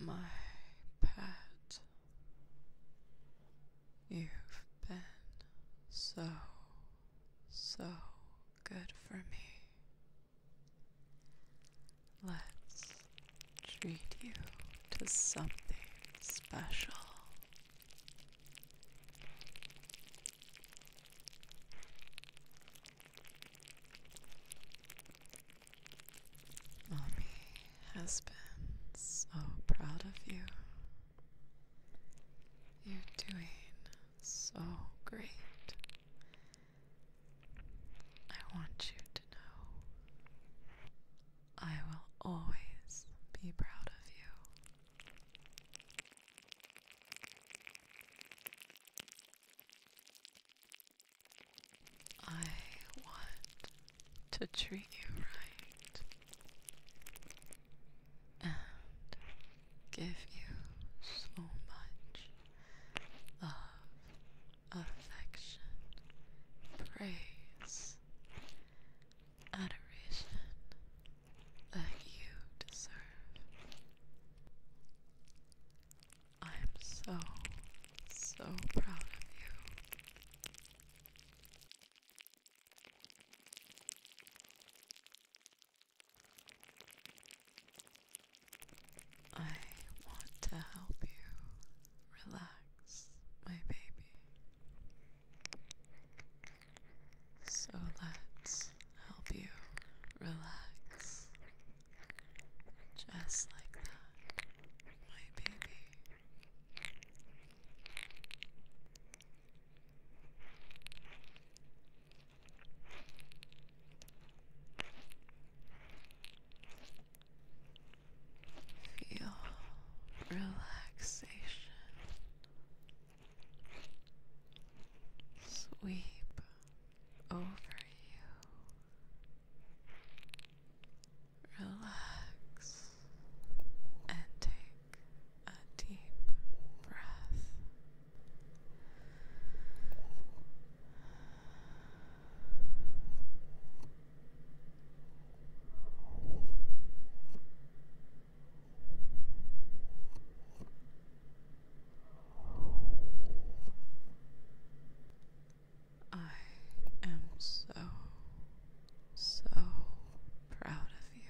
My pet, you've been so, so good for me. Let's treat you to something special. Mommy oh, has been so proud of you. You're doing so great. I want you to know I will always be proud of you. I want to treat you right and give you so much love, affection, praise, adoration that you deserve. I am so, so proud of you. I want to help you relax, my baby. So let's help you relax. Just like that, my baby. Feel relaxation sweep over you. Relax and take a deep breath. I am so, so proud of you.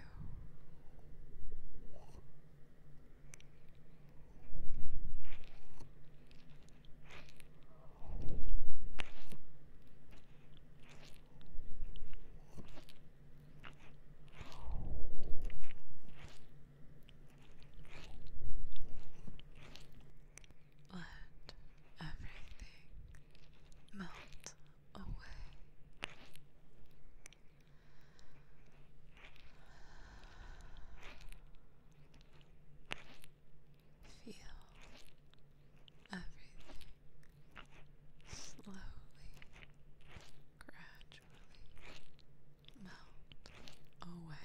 Let everything melt away. Feel everything slowly, gradually melt away.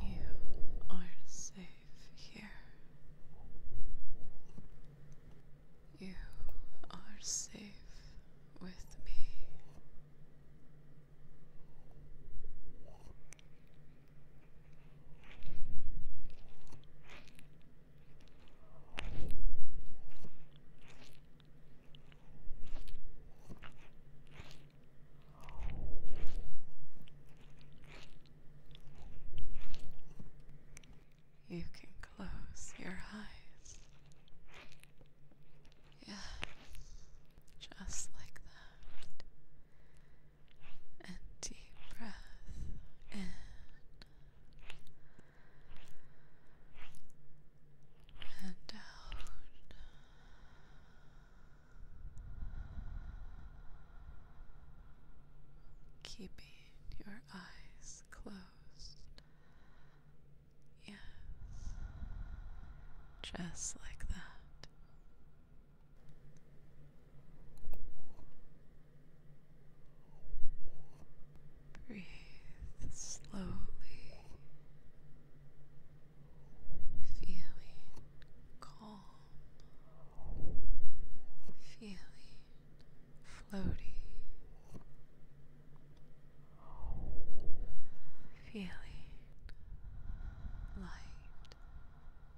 You are safe here. You are safe with me. You can close your eyes. Yeah, just like that. And deep breath in and out. Keeping your eyes closed. Yes. Just like that. Breathe slowly, feeling calm, feeling floaty, feeling light,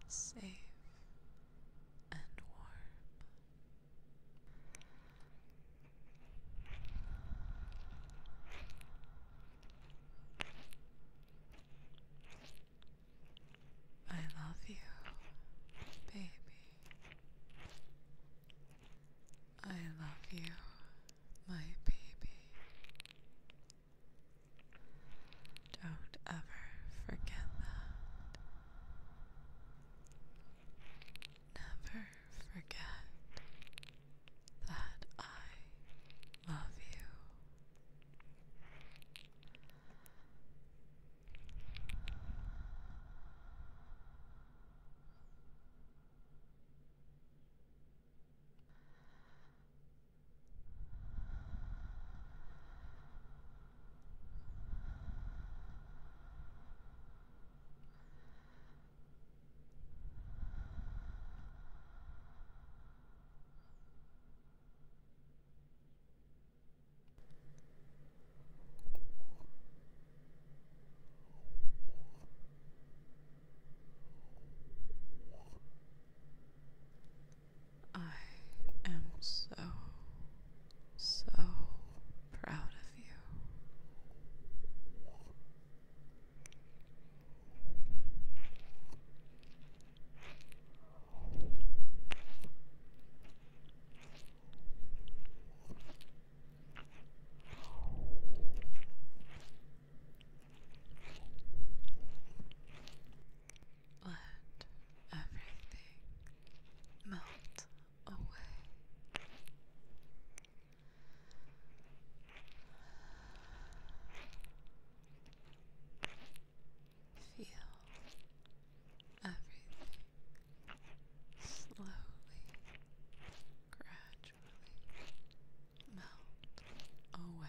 safe, and warm. I love you, baby. I love you, my baby. Don't ever forget that never forget that I love you. I am so so proud of you. Let everything melt away. Feel everything slowly, gradually melt away.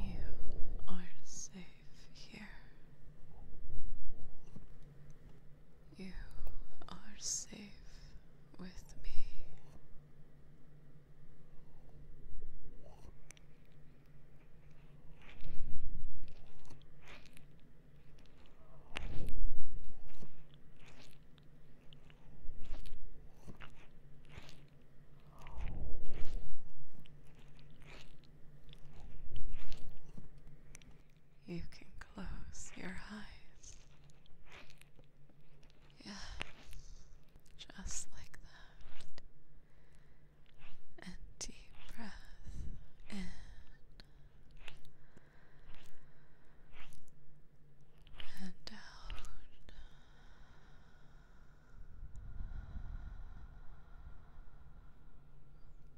You are safe here. You are safe with me. You can close your eyes. Yes, just like that. And deep breath in. And out.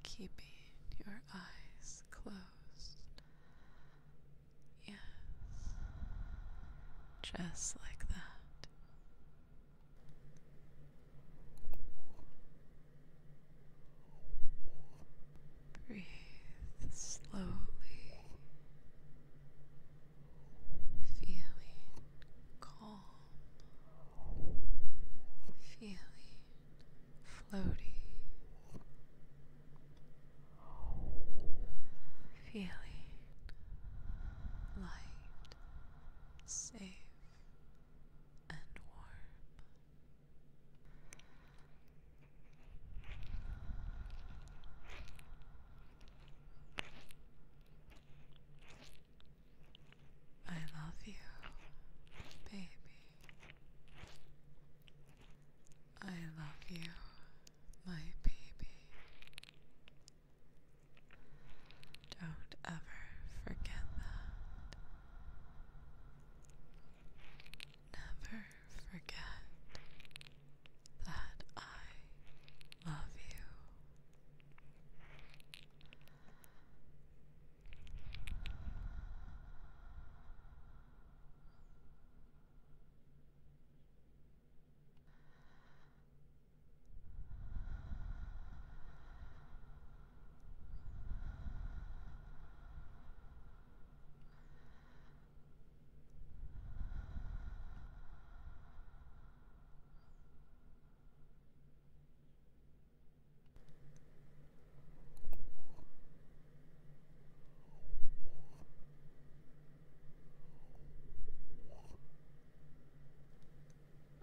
Keeping your eyes closed. Yes, just like that. Breathe slowly feeling calm, feeling floaty, feeling light, safe, and warm. I love you, baby. I love you, my baby. Don't ever forget that. Never forget that I love you.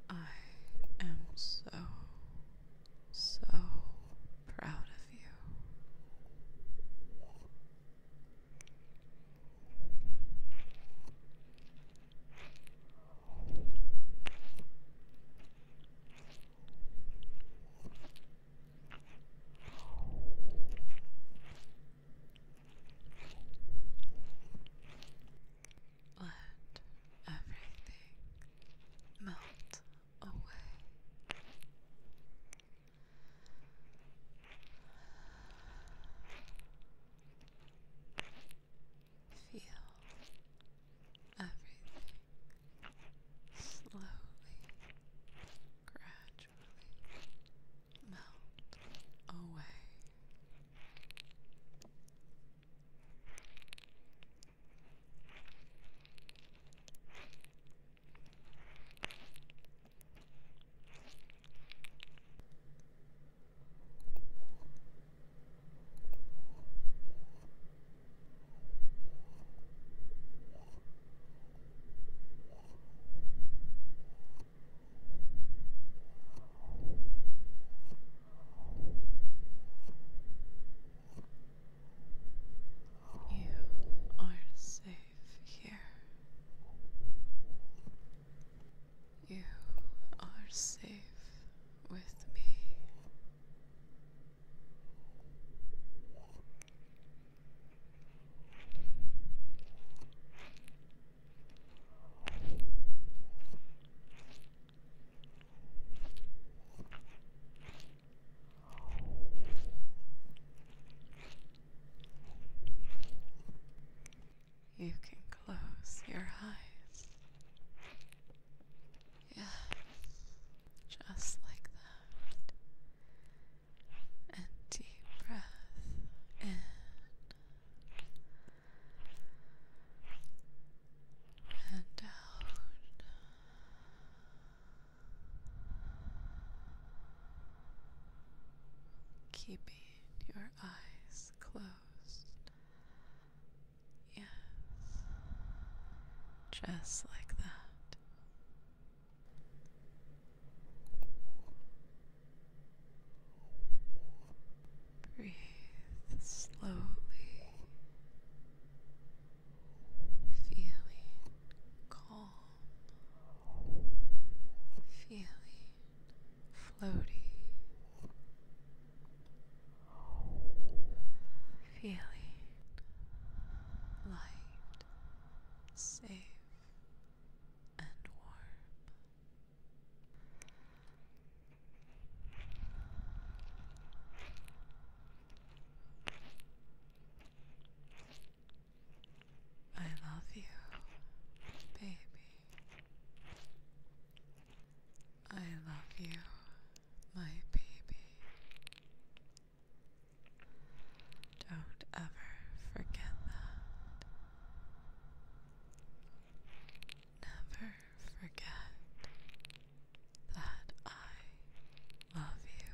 I am so, so proud of you. Let everything melt away. Feel everything slowly, gradually melt away. You are safe here. You are safe with me you can close your eyes. Yeah, just like that. And deep breath in. And out. Keeping your eyes closed. Yes, just like that. Breathe slowly, feeling calm, feeling floaty feeling light, safe, and warm. I love you, baby. I love you, my baby. Don't ever forget that. Never forget that I love you.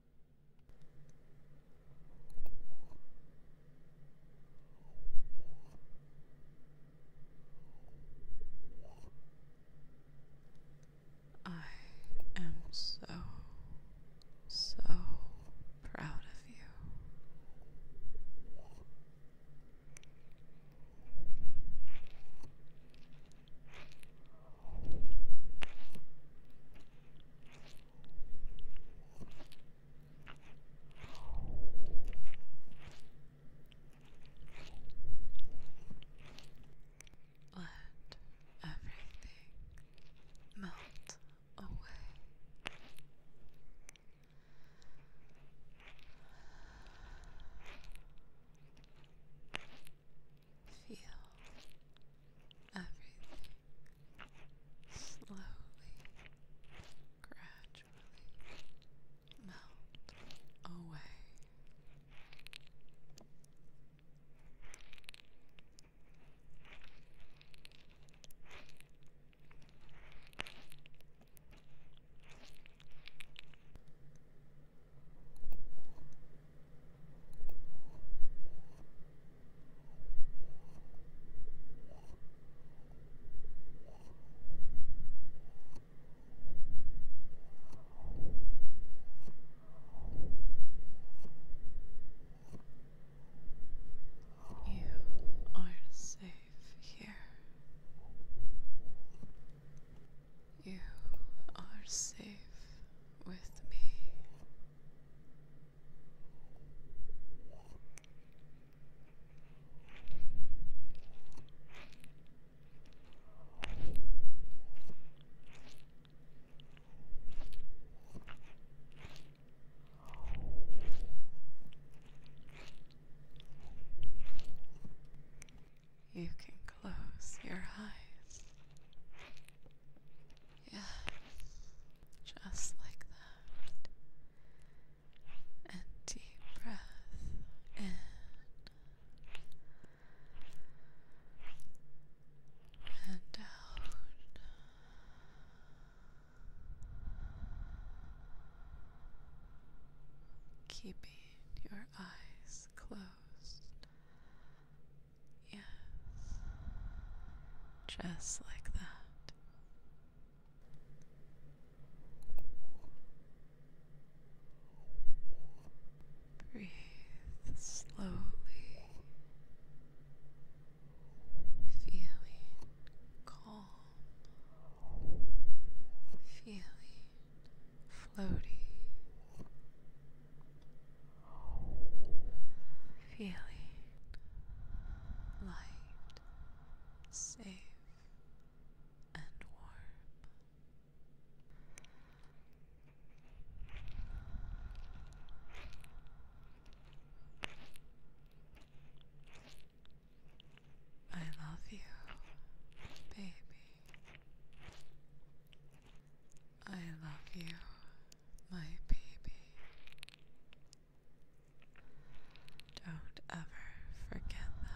I am so, so proud of you. Let everything melt away. Feel everything slowly, gradually melt away. You are safe here. You are safe with me. You can close your eyes. Yes, just like that. And deep breath in and out. Keeping your eyes closed Yes. Just like that. Breathe slowly, feeling calm, feeling floaty, feeling light, safe, and warm. I love you, baby. I love you my baby. Don't ever forget that.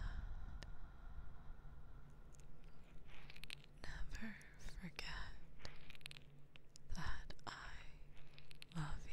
Never forget that I love you.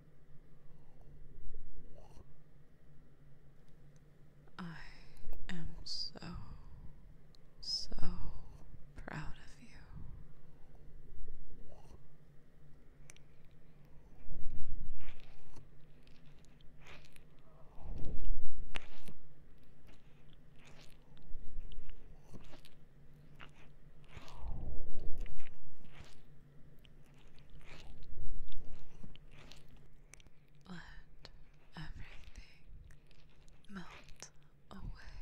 I am so, so proud of you. Let everything melt away.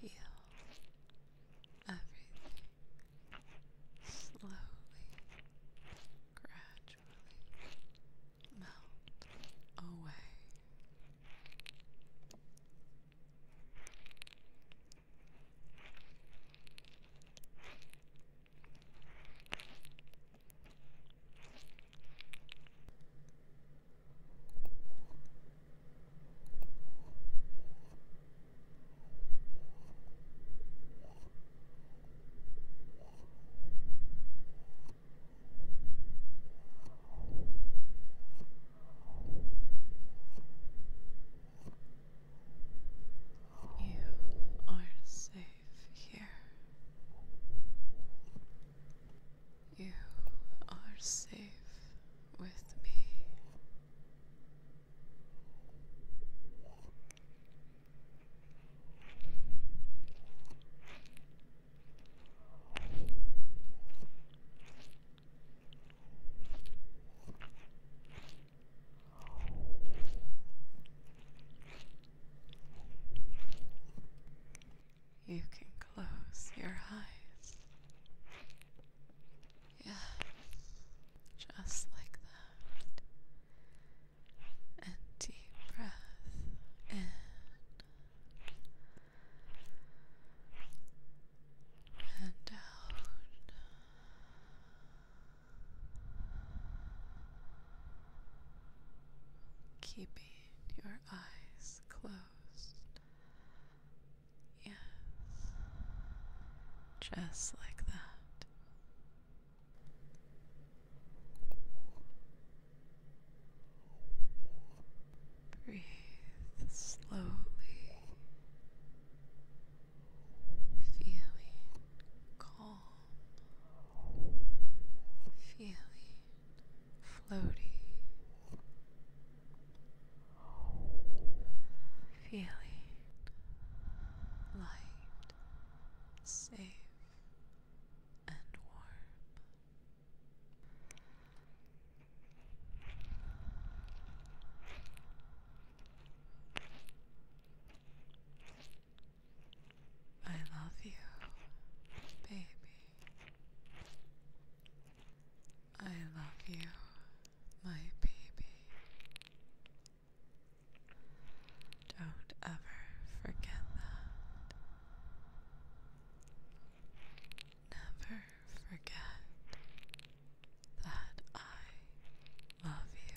Feel everything slowly, gradually melt away. You are safe here. You are safe with me. You can close your eyes. Yes, just like that and deep breath in and out. Keeping your eyes closed. Yes, just like that. Breathe slowly, feeling calm, feeling floaty, feeling light, safe and warm. I love you, baby. I love you, my baby. Don't ever forget that. Never forget that I love you.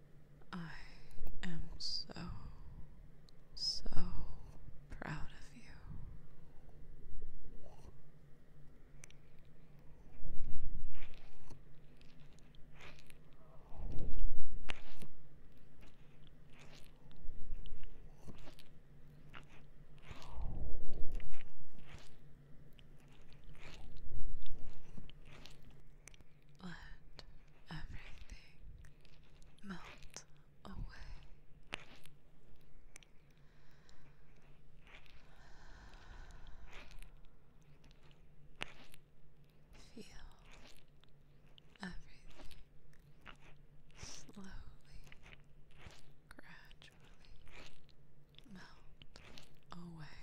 I am so, so proud of you. Let everything melt away. Feel everything slowly, gradually melt away.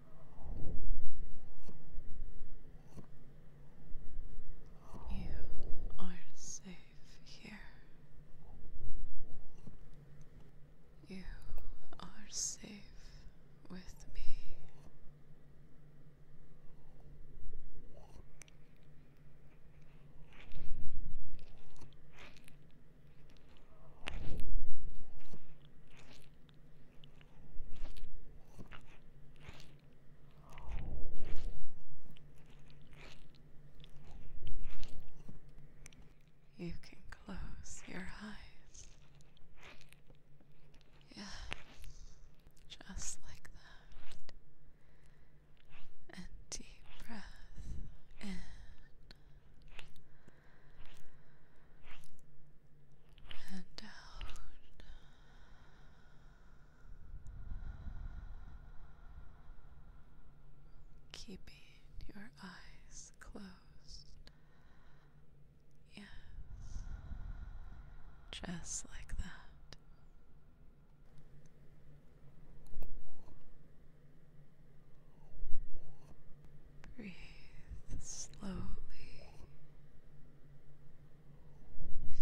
You are safe here. You are safe with me. You can close your eyes. Yeah, just like that. And deep breath in. Keeping your eyes closed. Yes. Just like that. Breathe slowly,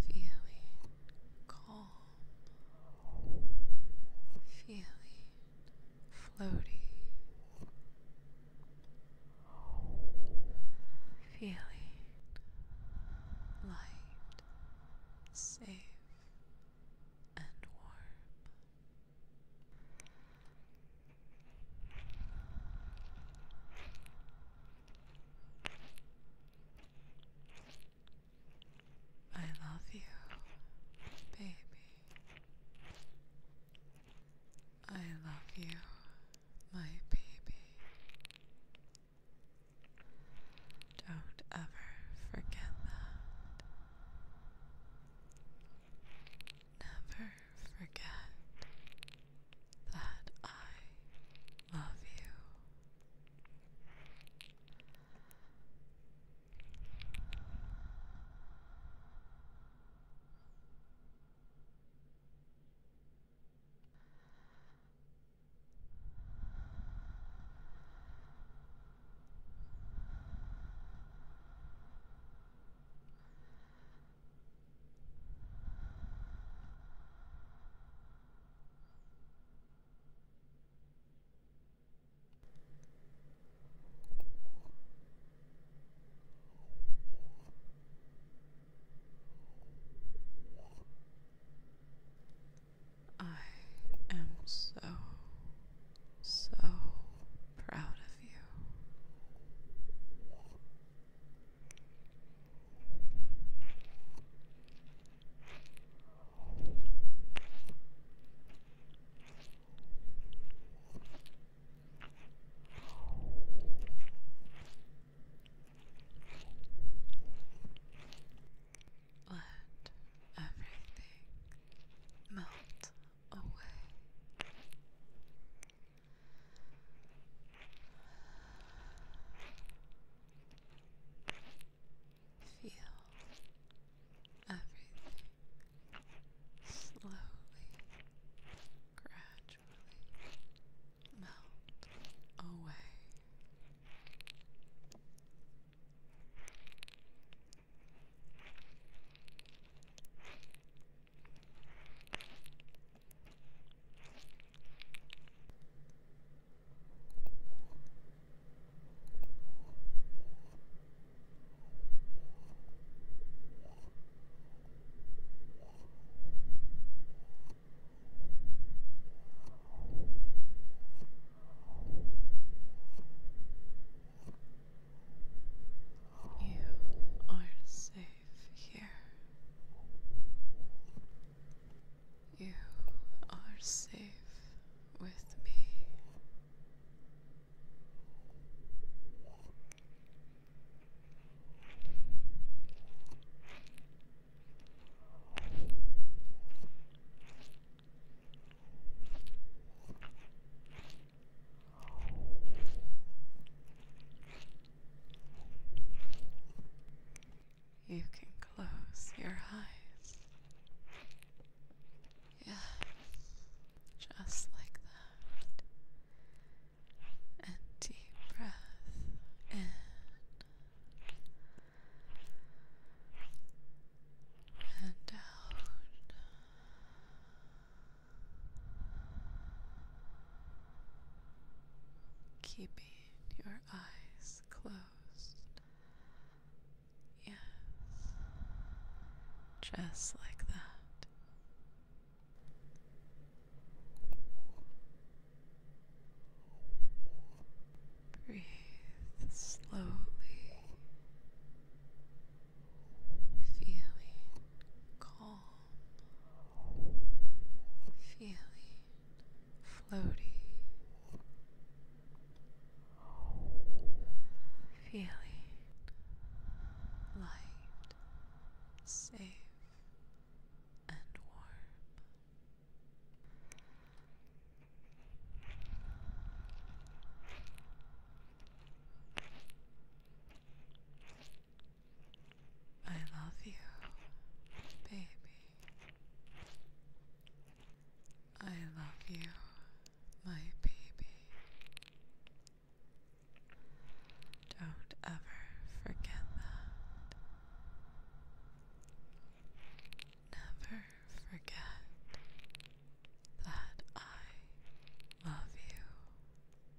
feeling calm, feeling floaty, feeling light, safe, and warm. I love you, baby. I love you, my baby. Don't ever forget that never forget that I love you. I am so, so proud of you. Let everything melt away. Feel everything slowly, gradually melt away. You are safe here. You are safe with me. You can close your eyes. Yes, just like that. And deep breath in. And out. Keeping your eyes closed. Yes, just like that. Breathe slowly, feeling calm feeling floaty, feeling light, safe, and warm. I love you, baby. I love you, my baby. Don't ever forget that. Never forget that I love you.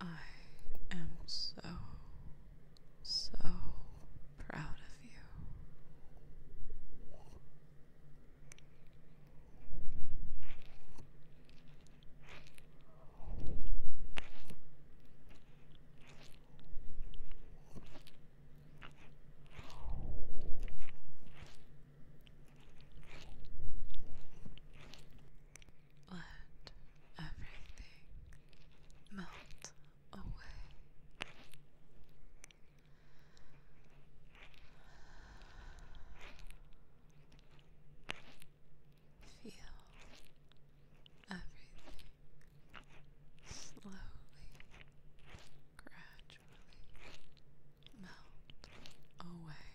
I am so, so proud of you. Let everything melt away. Feel everything slowly, gradually melt away.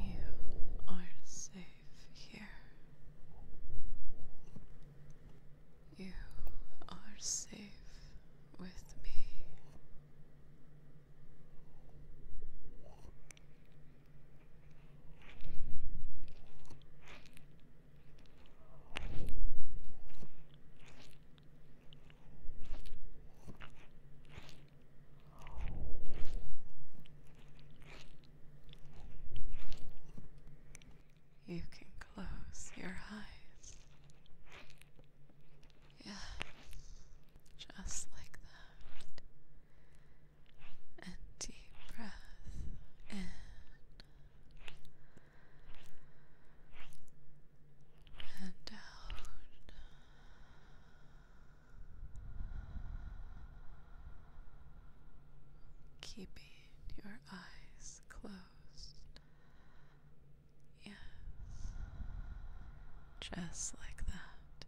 You are safe here. You are safe with me you can close your eyes. Yeah, just like that. And deep breath in. And out. Keeping your eyes closed Yes. Just like that.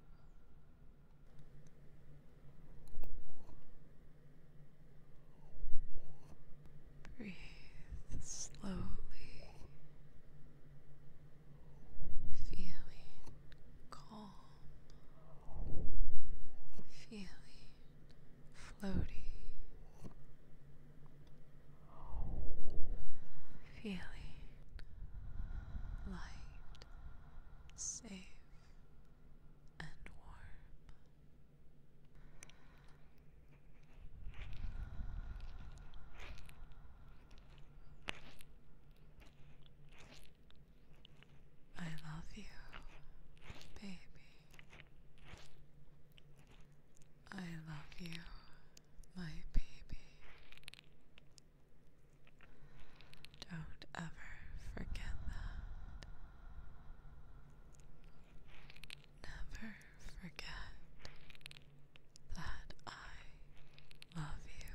Breathe slowly, feeling calm, feeling floaty, feeling light, safe, and warm. I love you, baby. I love you, my baby. Don't ever forget that. Never forget that I love you.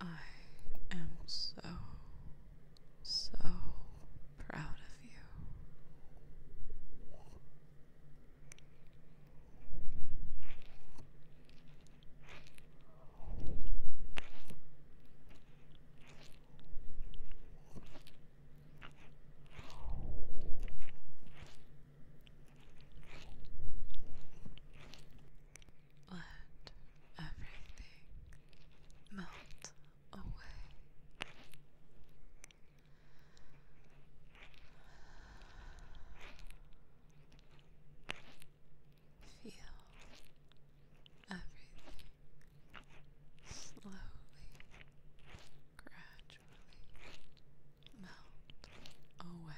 I am so, so proud of you. Let everything melt away. Feel everything slowly, gradually melt away.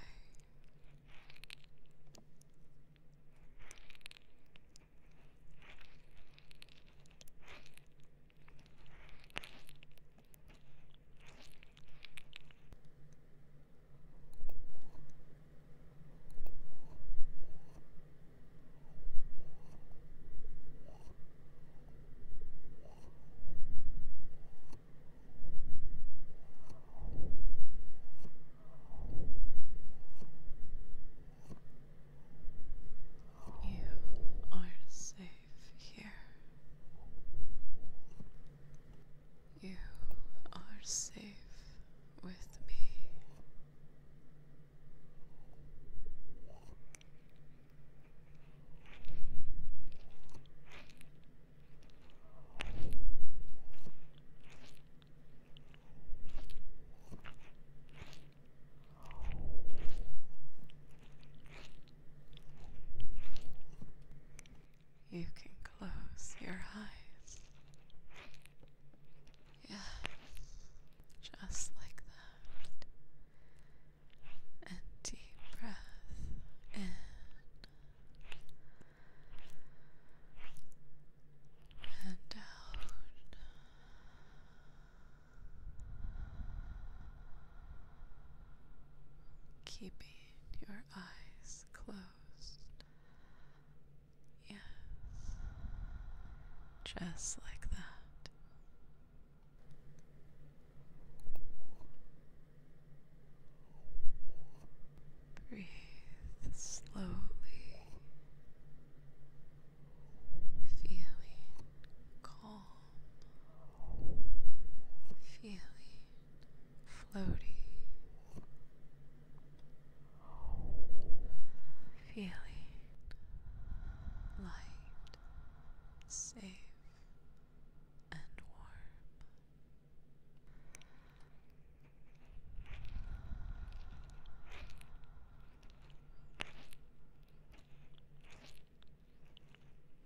You are safe here. You are safe with me. You can close your eyes. Yeah, just like that. And deep breath in. And out. Keeping your eyes closed. Yes. Just like that. Breathe slowly, feeling calm, feeling floaty, feeling light, safe, and warm.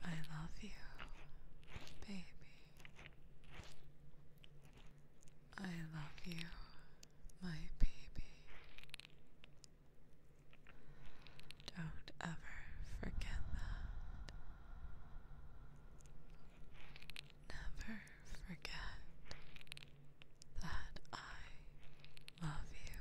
I love you, baby. I love you, my baby. Don't ever forget that. Never forget that I love you.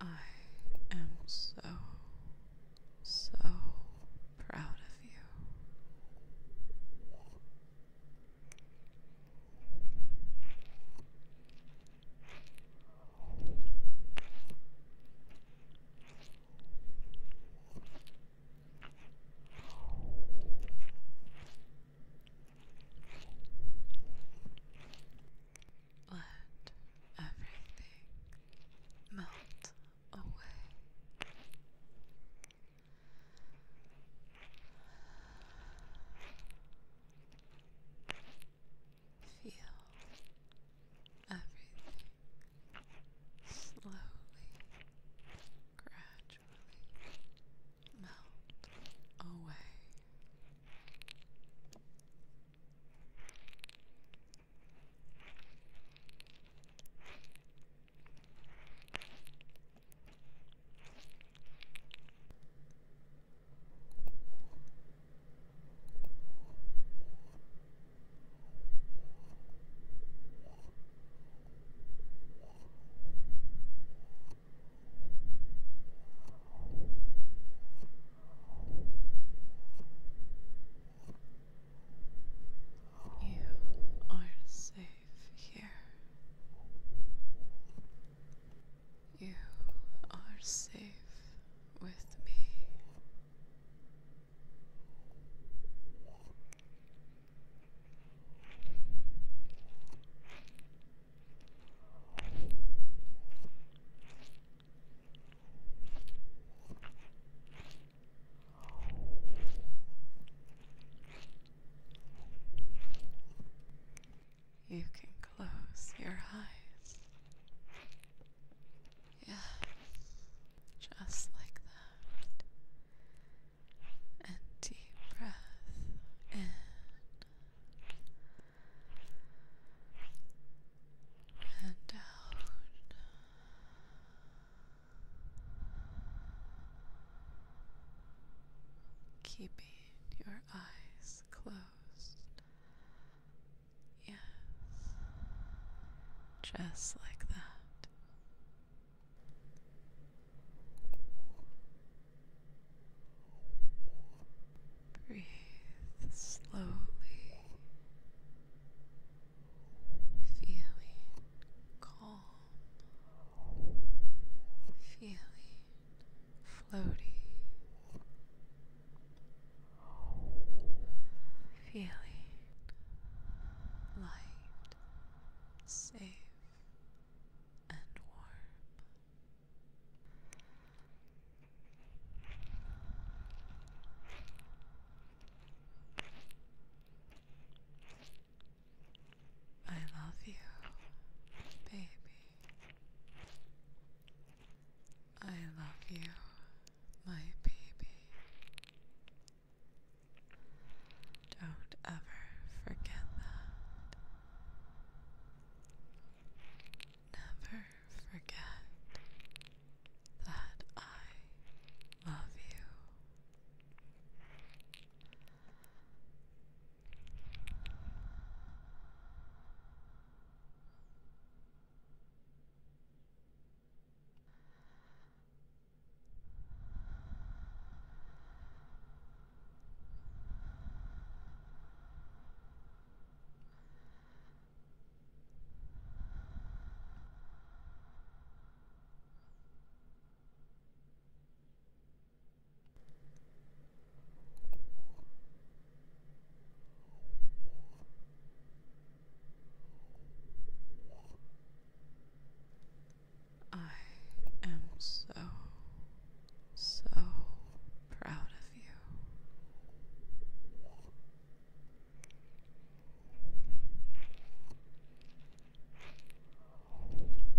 I am so, so proud of you. Let everything melt away. Feel everything slowly, gradually melt away. You are safe here. You are safe with me. You can close your eyes. Yeah, just like that. And deep breath in and down. Keeping your eyes closed. Yes, just like that. Breathe slowly, feeling calm, feeling floaty, feeling light, safe, and warm. I love you, baby. I love you, my baby. Don't ever forget that. Never forget that I love you. I am so, so proud of you. Let everything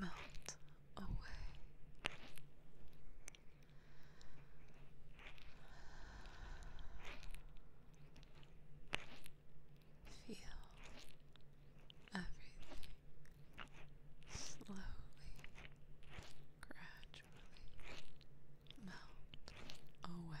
melt away. Feel everything slowly, gradually melt away.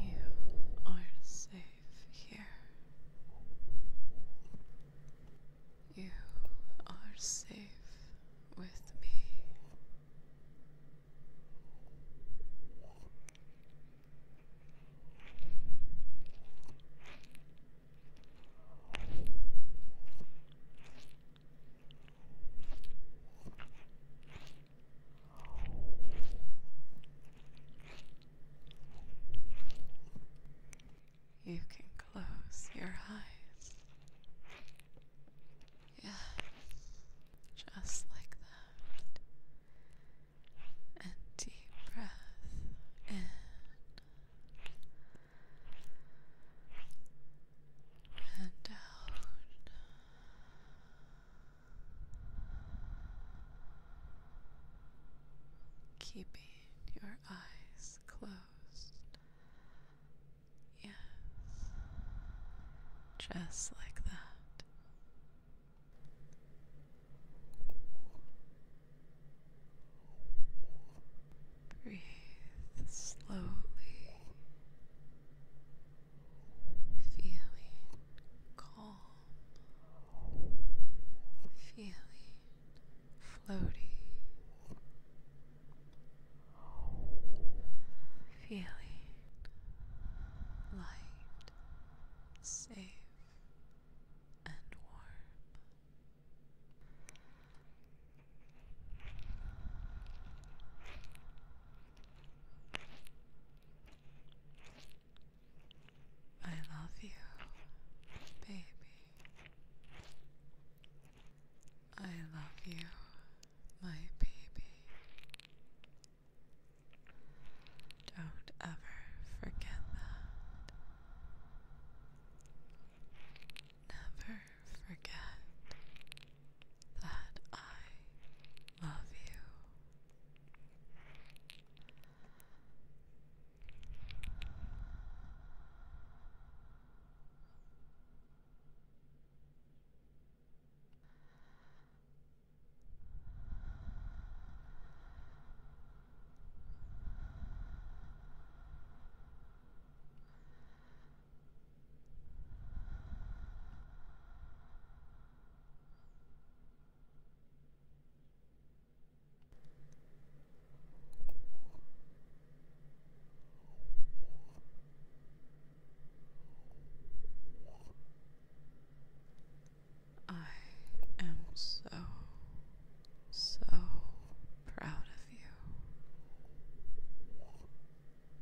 You are safe here. You are safe with me. You can close your eyes. Yeah, just like that. And deep breath in. And out. Keeping your eyes closed. Yes, just like that. Breathe slowly feeling calm, feeling floaty, feeling light, safe, and warm. I love you, baby. I love you, my baby. Don't ever forget that. Never forget that I love you. I am so, so proud of you. Let everything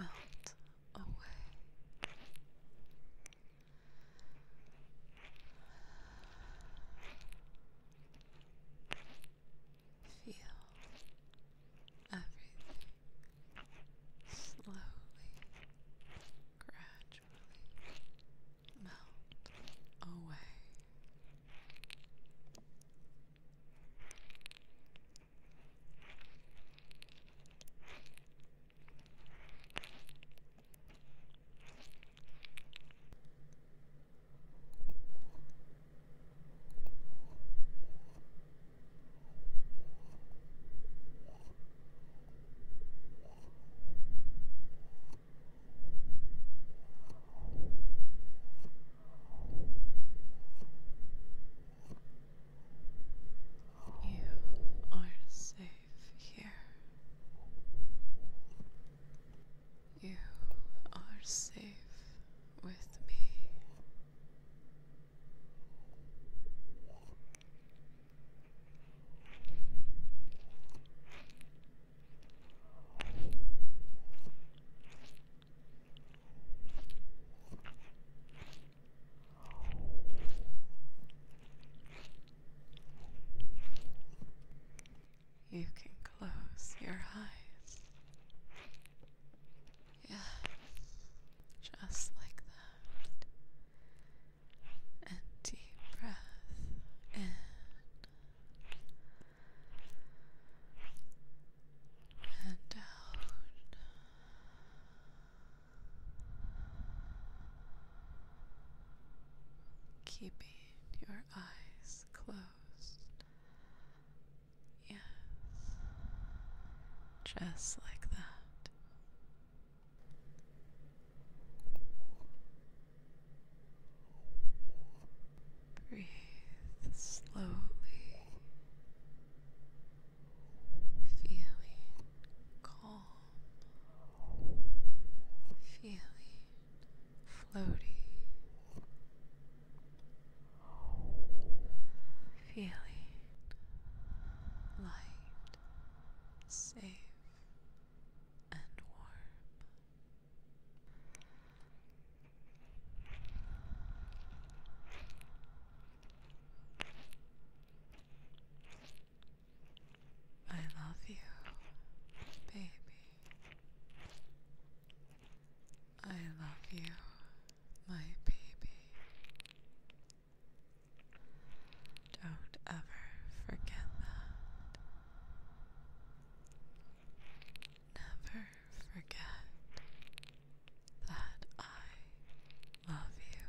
melt away. Feel everything slowly, gradually melt away. You are safe here. You are safe with me. You can close your eyes. Yes, just like that. And deep breath in. And out keeping your eyes closed. Yes, just like that. Breathe slowly, feeling calm feeling floaty, feeling light, safe, and warm. I love you, baby. I love you, my baby. Don't ever forget that. Never forget that I love you.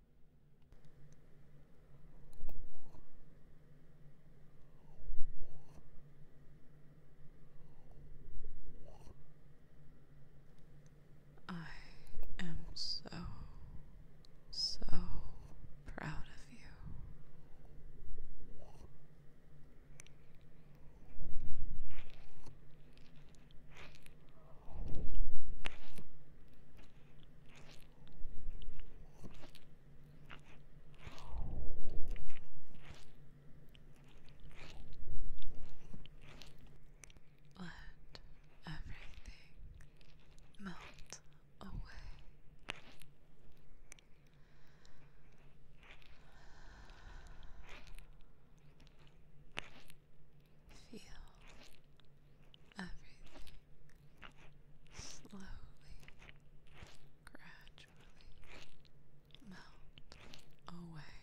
I am so, so proud of you. Let everything melt away. Feel everything slowly, gradually melt away.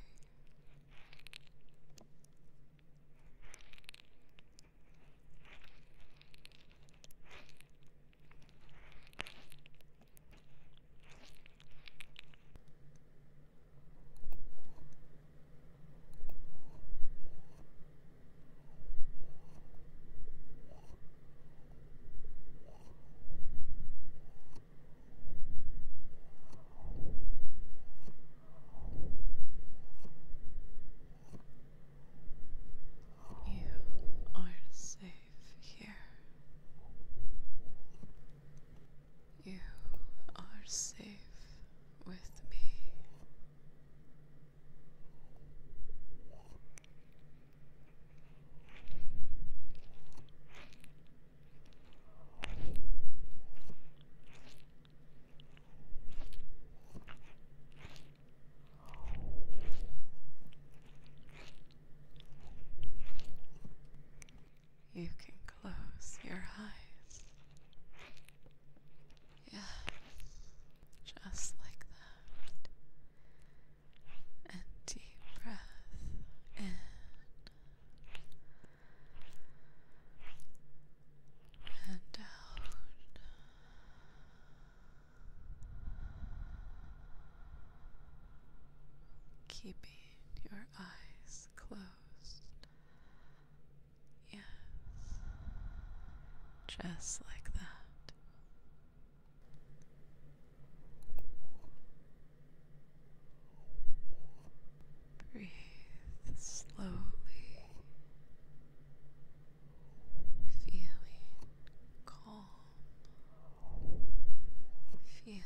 You are safe here. You are safe with me. You can close your eyes. Yeah, just like that. And deep breath in. And out. Keeping your eyes closed Yes. Just like that. Breathe slowly, feeling calm, feeling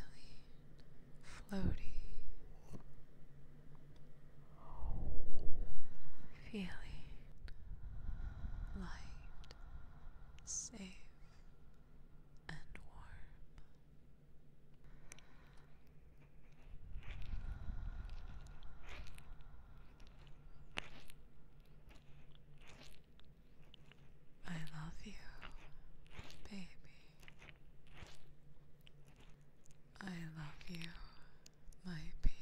floaty, feeling light, safe, and warm. I love you, baby. I love you, my baby.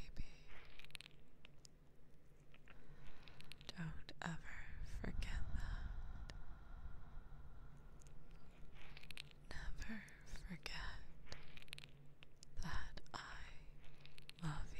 Don't ever forget that. Never forget that I love you.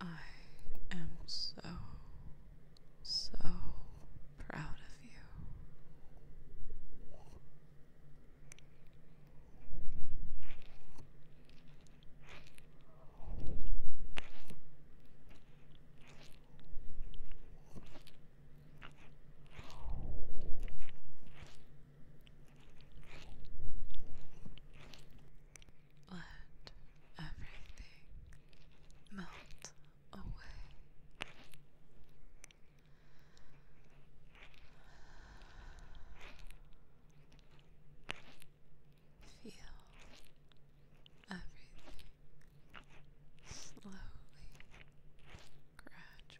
I am so, so proud of you. Let everything melt away. Feel everything slowly, gradually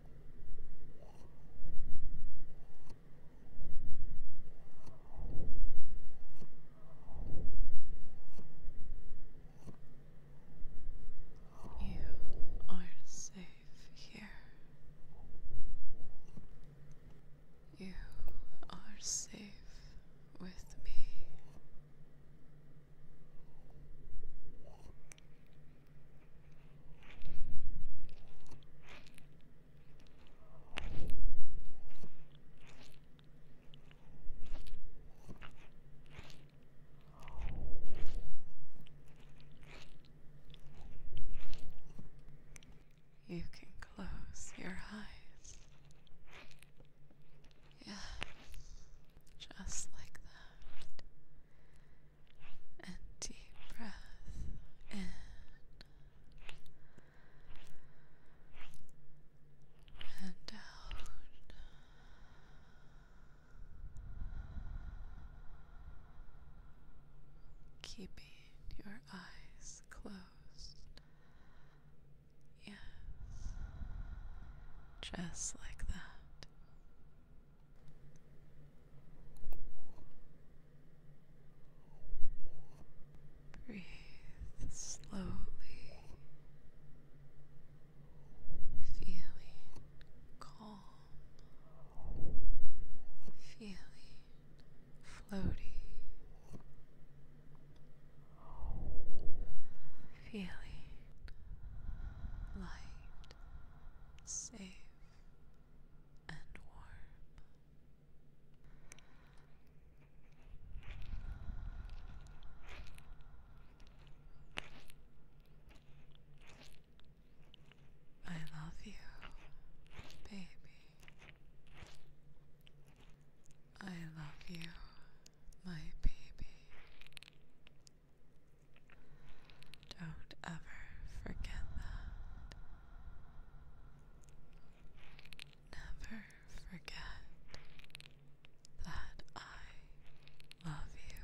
You are safe here. You are safe with me. You can close your eyes. Yes, just like that and deep breath in and out. Keeping your eyes closed. Yes, just like that. Breathe slowly, feeling calm, feeling floaty. Feeling light, safe and warm. I love you, baby. I love you, my baby. Don't ever forget that. Never forget that I love you.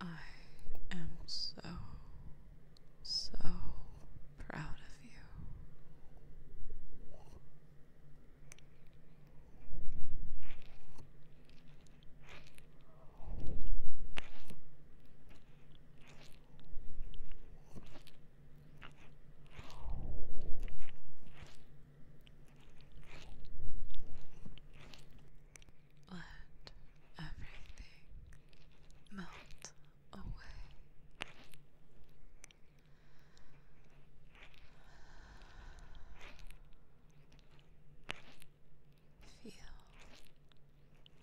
I am so, so proud of you. Let everything melt away. Feel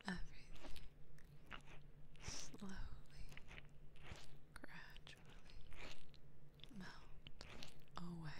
everything slowly, gradually melt away.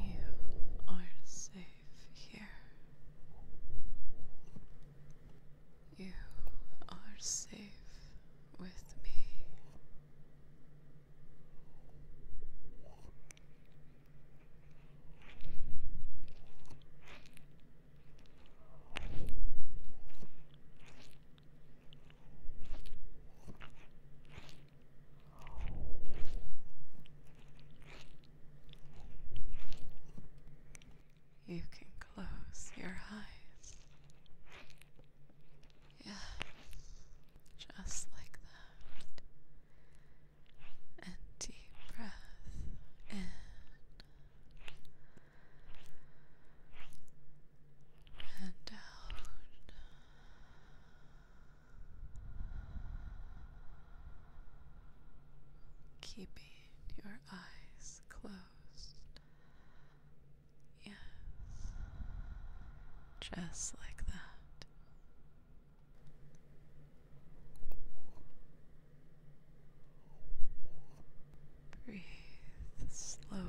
You are safe here. You are safe with me. You can close your eyes. Yeah, just like that. And deep breath in and out. Keeping your eyes closed. Yes, just like that. Breathe slowly,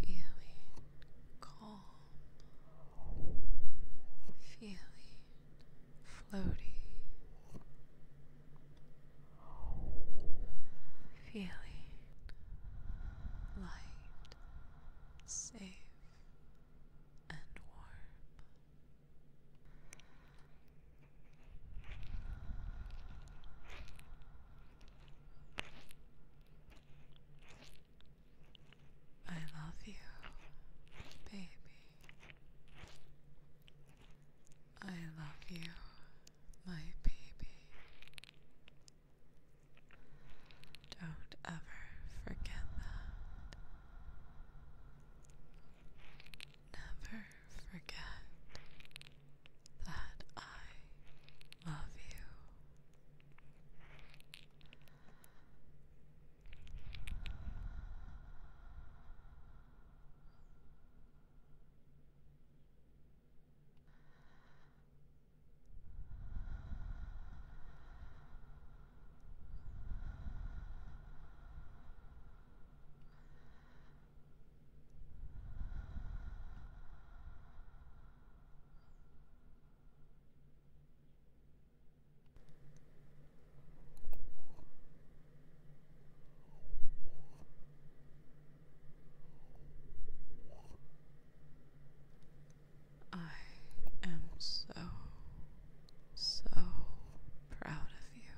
feeling calm, feeling floaty, feeling light, safe, and warm. I love you, baby. I love you, my baby. Don't ever forget that. Never forget that I love you. I am so so proud of you.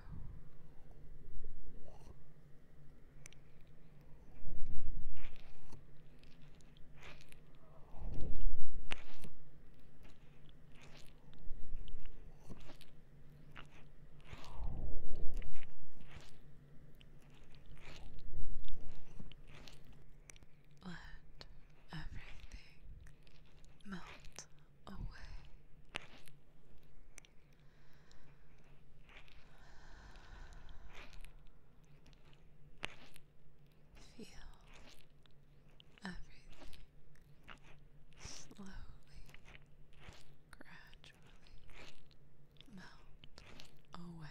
Let everything melt away. Feel everything slowly, gradually melt away.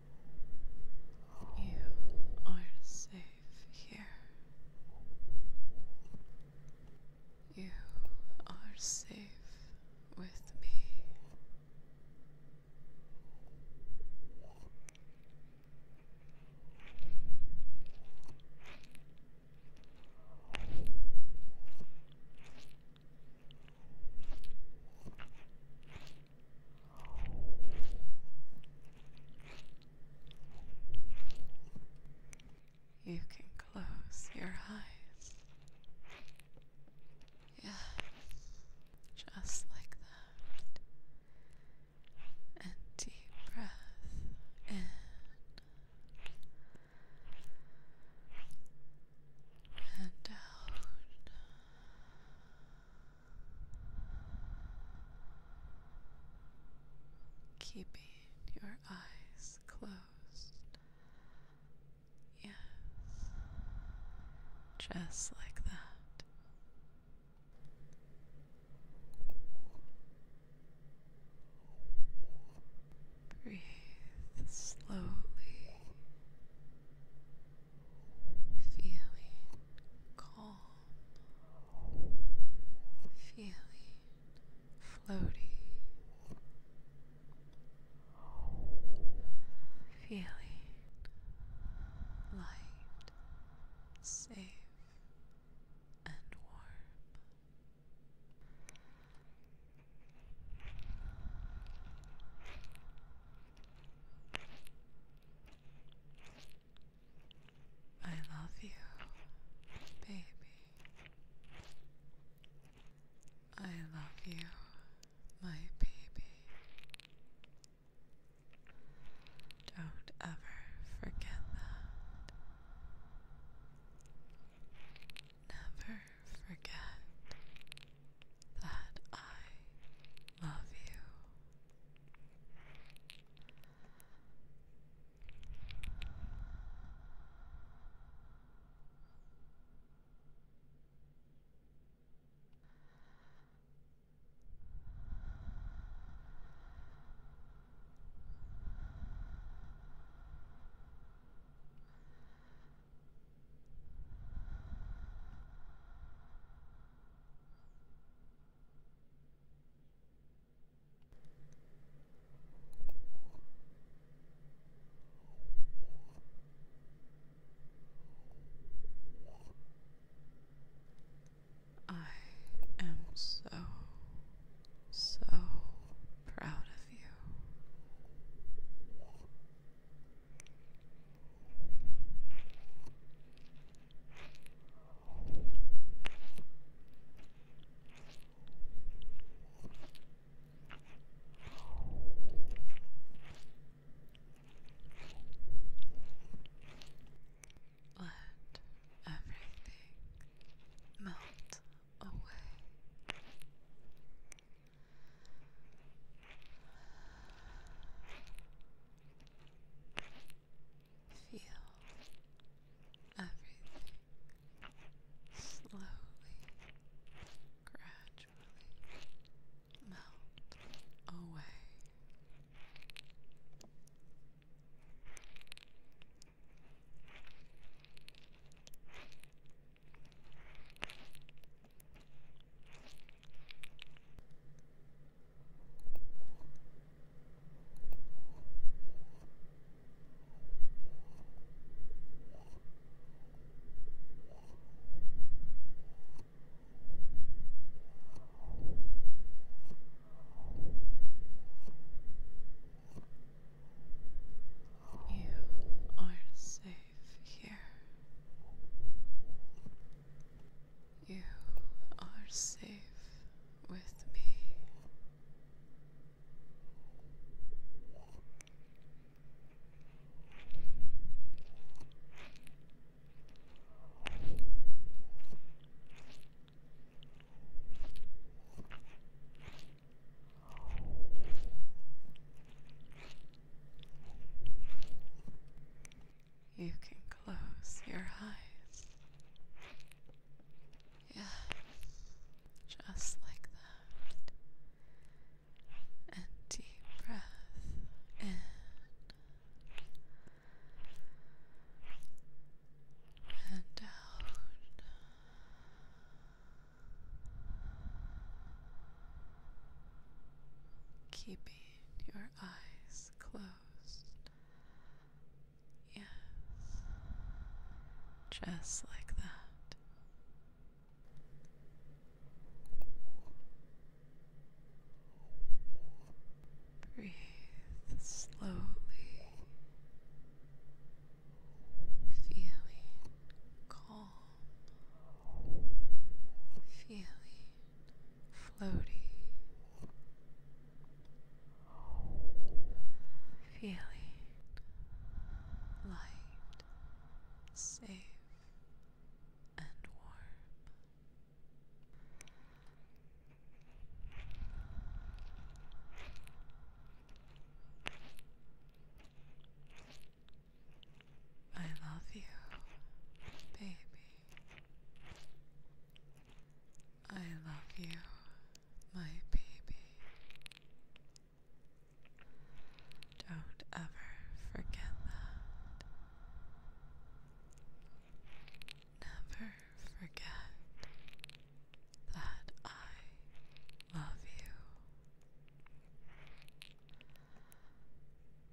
You are safe here. You are safe with me. You can close your eyes. Yes, just like that. And deep breath in. And out. Keeping your eyes closed. Yes. Just like that. Breathe slowly feeling calm, feeling floaty, feeling light, safe, and warm. I love you, baby. I love you, my baby. Don't ever forget that. Never forget that I love you. I am so, so proud of you. Let everything melt away. Feel everything slowly, gradually melt away. You are safe here. You are safe with me. You can close your eyes. Yeah, just like that. And deep breath in. And out. Keeping your eyes closed. Yes, just like that. Breathe slowly, feeling calm, feeling floaty feeling light, safe, and warm. I love you, baby. I love you, my baby. Don't ever forget that. Never forget that I love you.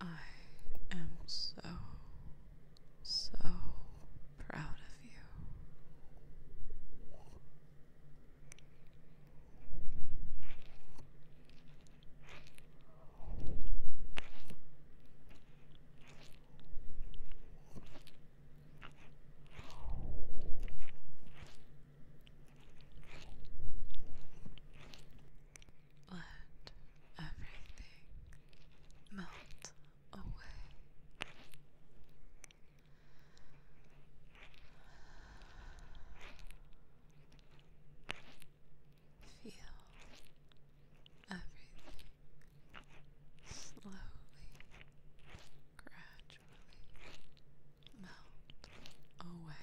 I am so, so proud of you. Let everything melt away. Feel everything slowly, gradually melt away.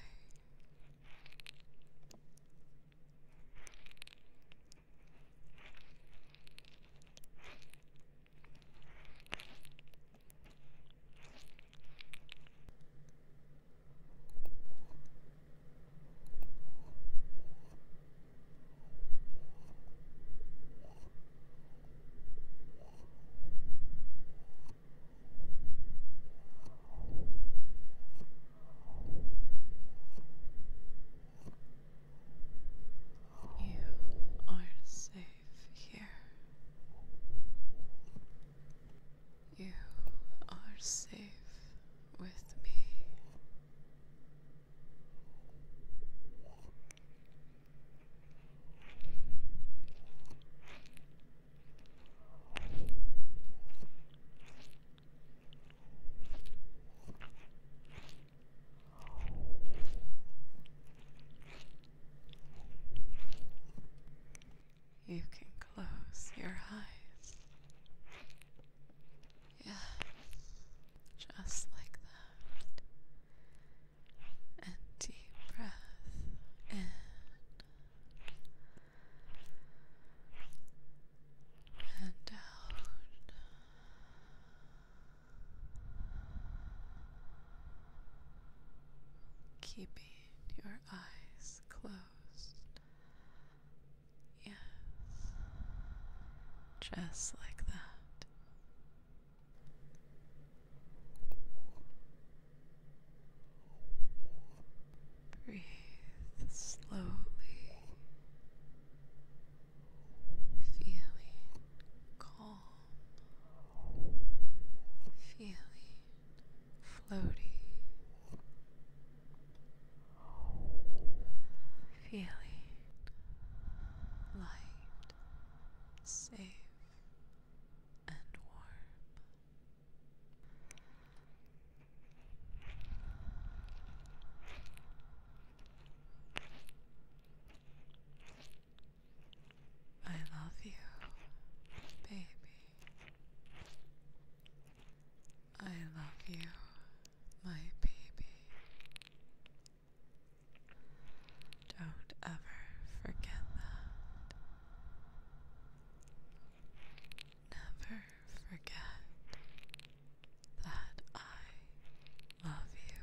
You are safe here. You are safe with me. You can close your eyes. Yeah, just like that. And deep breath in. And out. Keeping your eyes closed Yes. Just like that. Breathe slowly, feeling calm, feeling floaty, feeling light, safe, and warm. I love you, baby. I love you, my baby. Don't ever forget that. Never forget that I love you.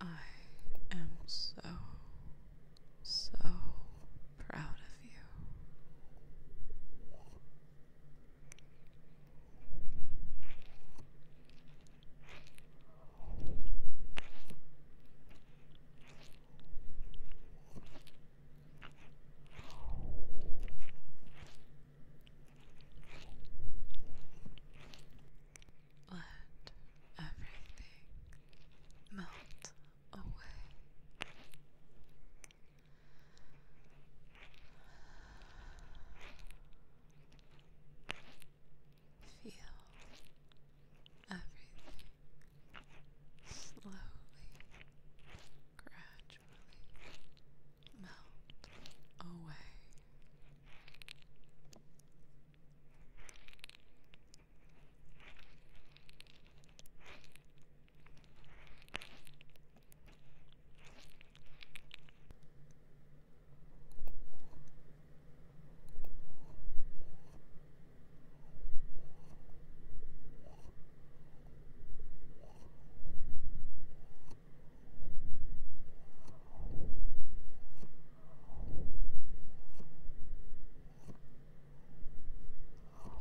I am so, so proud of you. Let everything melt away. Feel everything slowly, gradually melt away.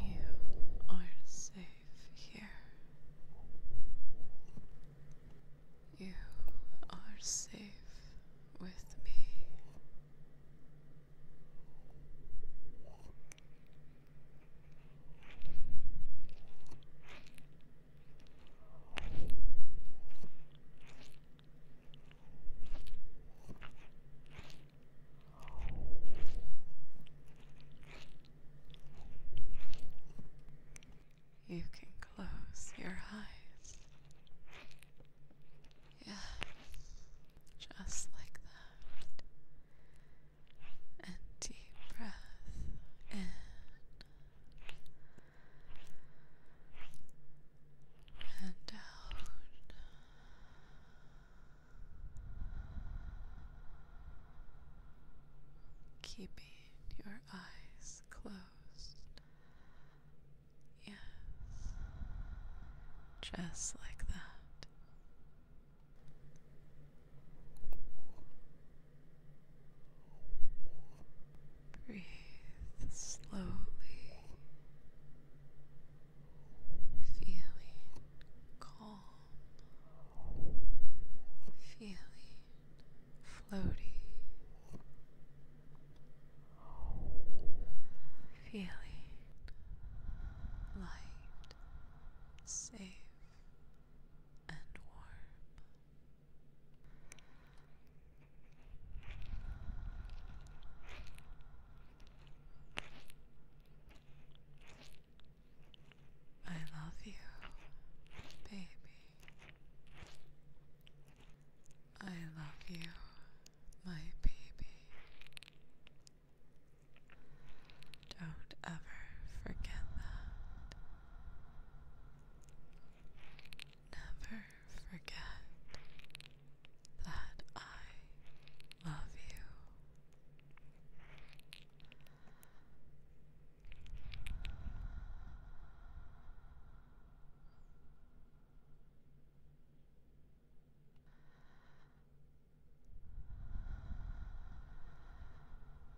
You are safe here. You are safe with me. You can close your eyes. Yes, just like that and deep breath in and out. Keeping your eyes closed. Yes, just like that. Breathe slowly, feeling calm, feeling floaty, feeling light, safe and warm. I love you, baby. I love you, my baby. Don't ever forget that. Never forget that I love you.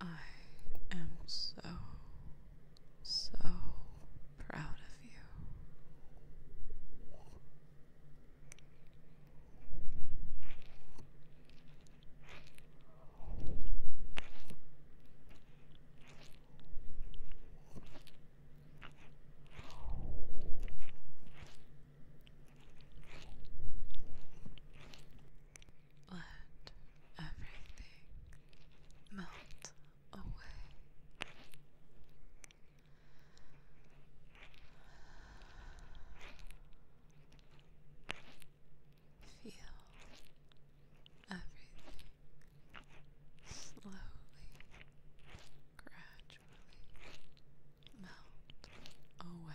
I am so, so proud of you. Let everything melt away. Feel everything slowly, gradually melt away.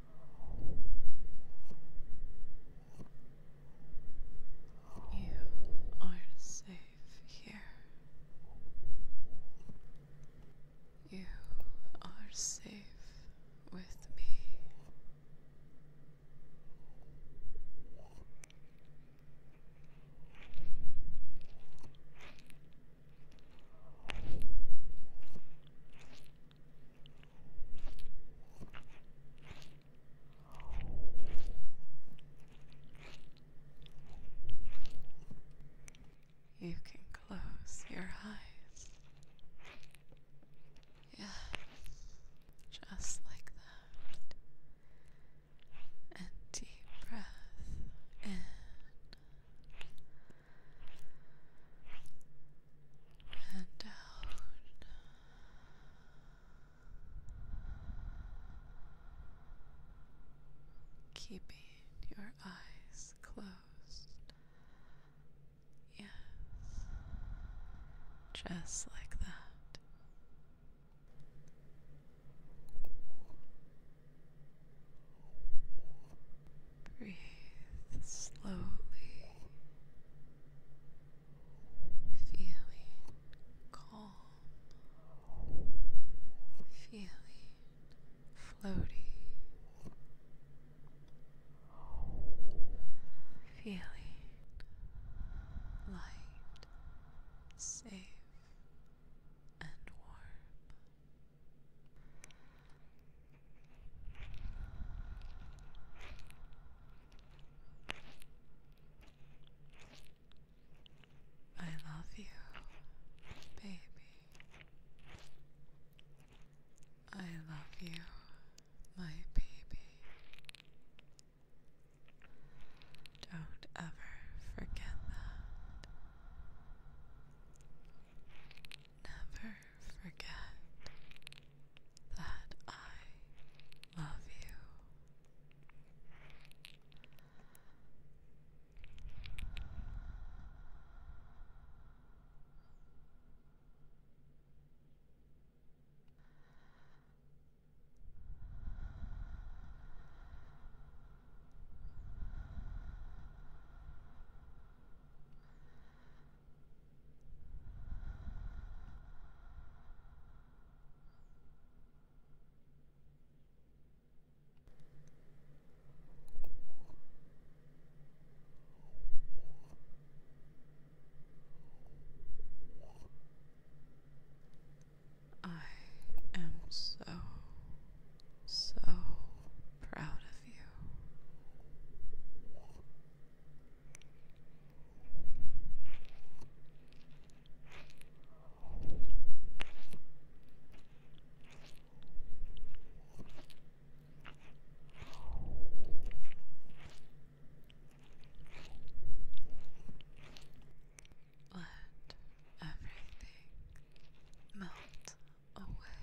You are safe here. You are safe with me. You can close your eyes. Yes, just like that. And deep breath in and out. Keeping your eyes closed. Yes. Just like that. Breathe slowly, feeling calm, feeling floaty, feeling light, safe, and warm. I love you, baby. I love you, my baby. Don't ever forget that never forget that I love you. I am so, so proud of you. Let everything melt away.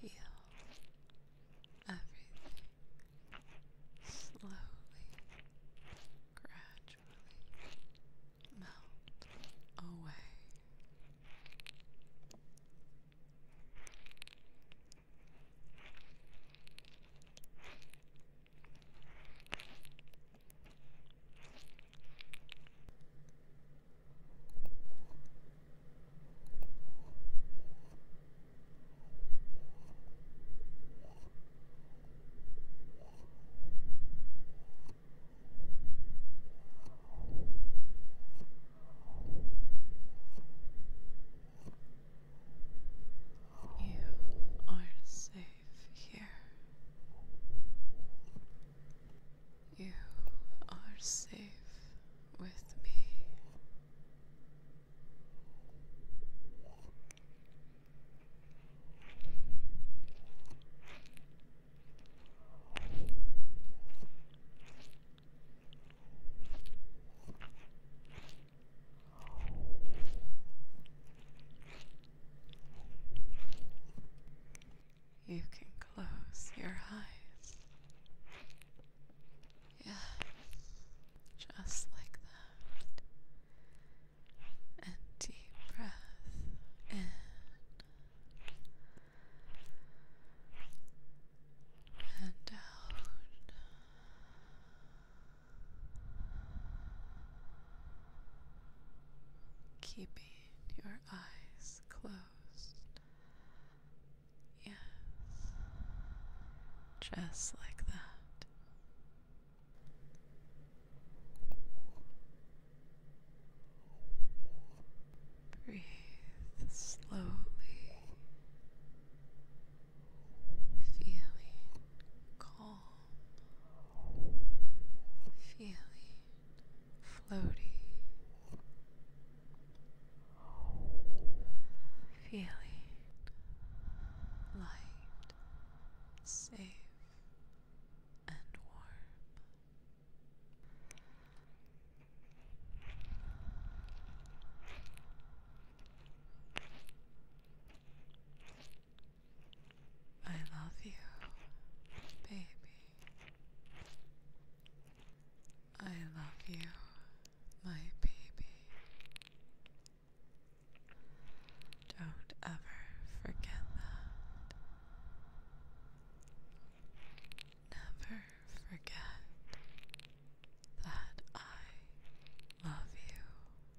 Feel everything slowly, gradually melt away. You are safe here. You are safe with me. You can close your eyes. Yes, just like that. And deep breath in. And out. Keeping your eyes closed. Yes, just like that. Breathe slowly, feeling calm feeling floaty, feeling light, safe, and warm. I love you, baby. I love you, my baby. Don't ever forget that. Never forget that I love you.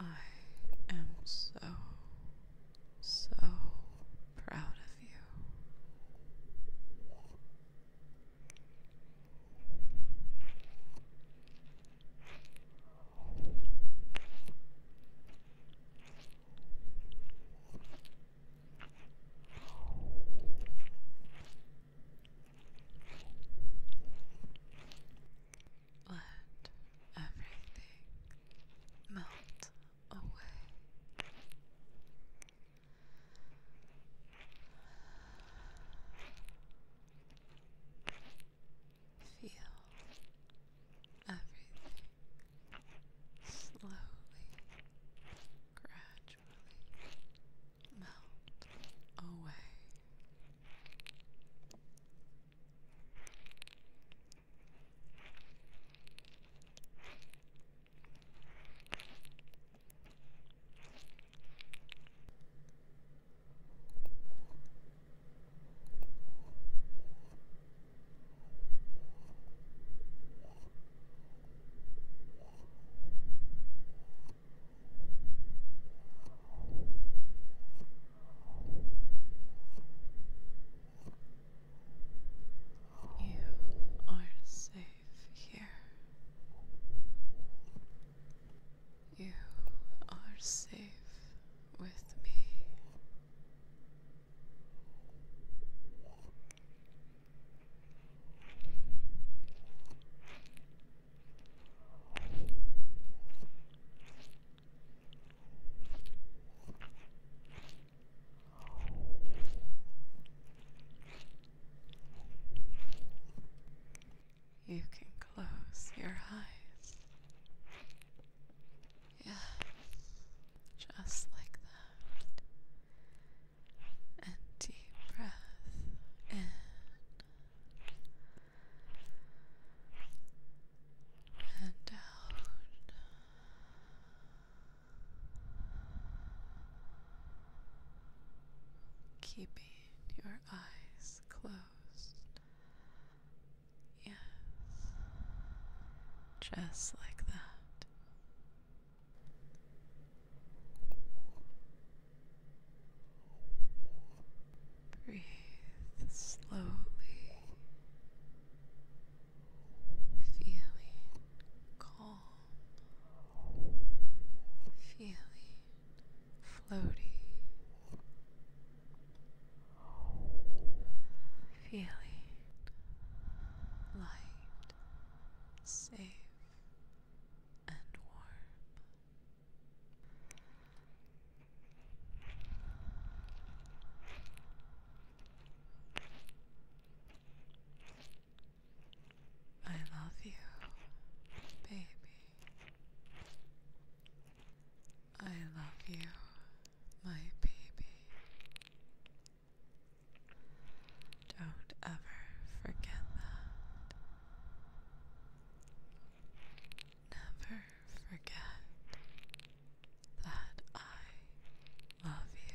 I am so, so proud of you. Let everything melt away. Feel everything slowly, gradually melt away. You are safe here. You are safe with me. You can close your eyes. Yeah, just like that. And deep breath in. And out. Keeping your eyes closed Yes. Just like that. Breathe slowly, feeling calm, feeling floaty feeling light, safe, and warm. I love you, baby. I love you, my baby. Don't ever forget that. Never forget that I love you.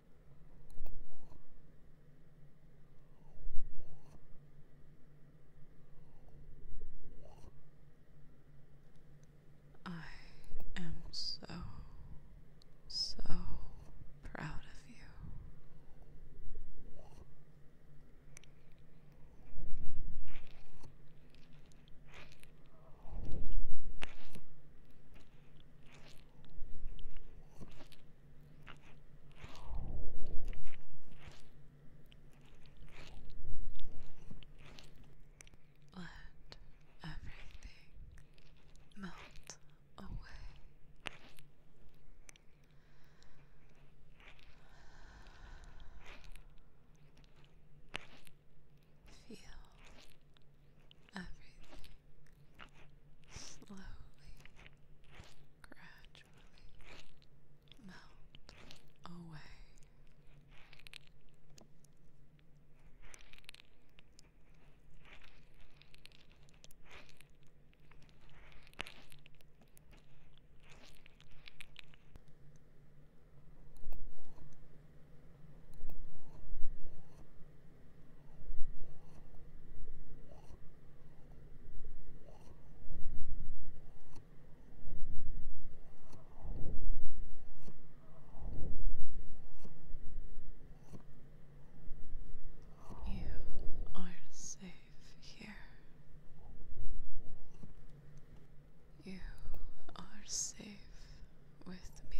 I am so, so proud of you. Let everything melt away. Feel everything slowly, gradually melt away. You are safe here. You are safe with me.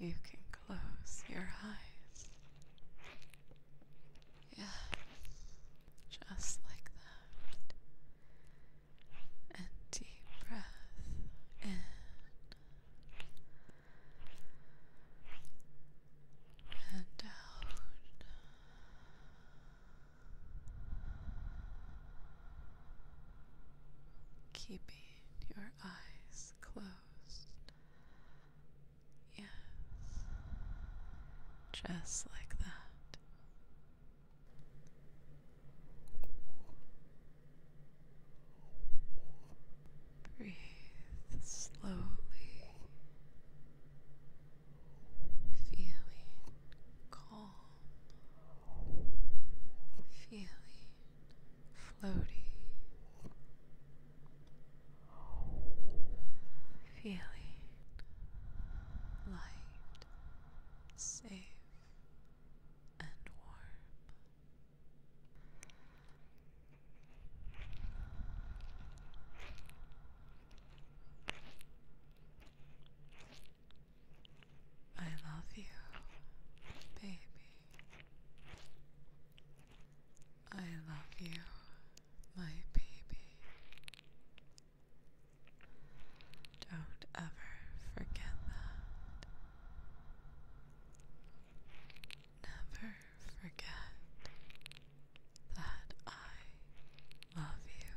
You can close your eyes. Yes, just like that. And deep breath in and out. Keeping your eyes closed. Yes, just like that. Breathe slowly, feeling calm, feeling floaty, feeling light safe and warm. I love you, baby. I love you, my baby. Don't ever forget that. Never forget that I love you.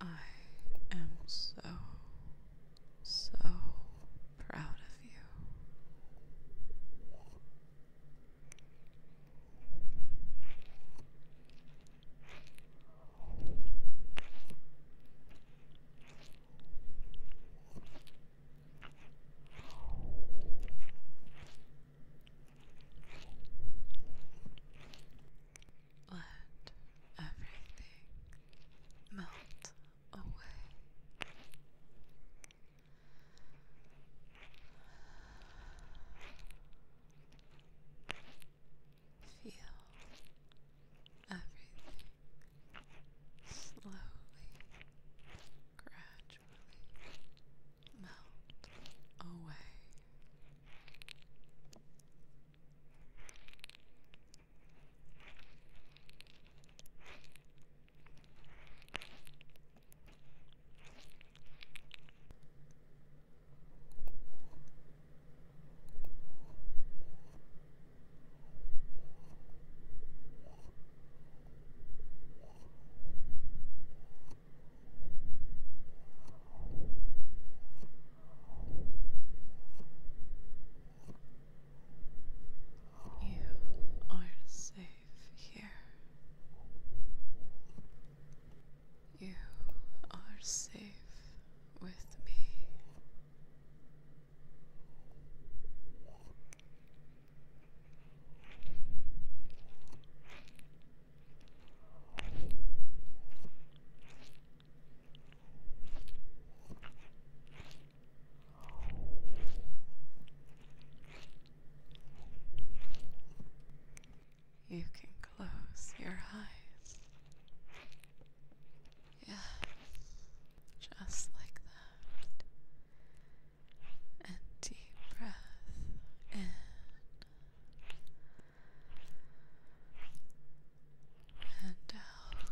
I am so, so proud of you. Let everything melt away. Feel everything slowly, gradually melt away. You are safe here. You are safe with me. You can close your eyes. Yeah, just like that. And deep breath in and out.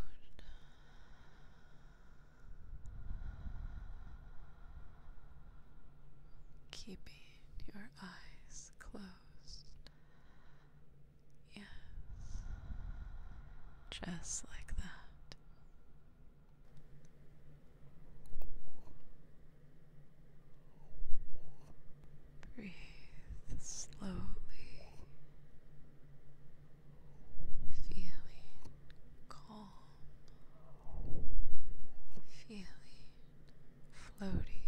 Keeping your eyes closed. Yes, just like that. Breathe slowly, feeling calm, feeling floaty,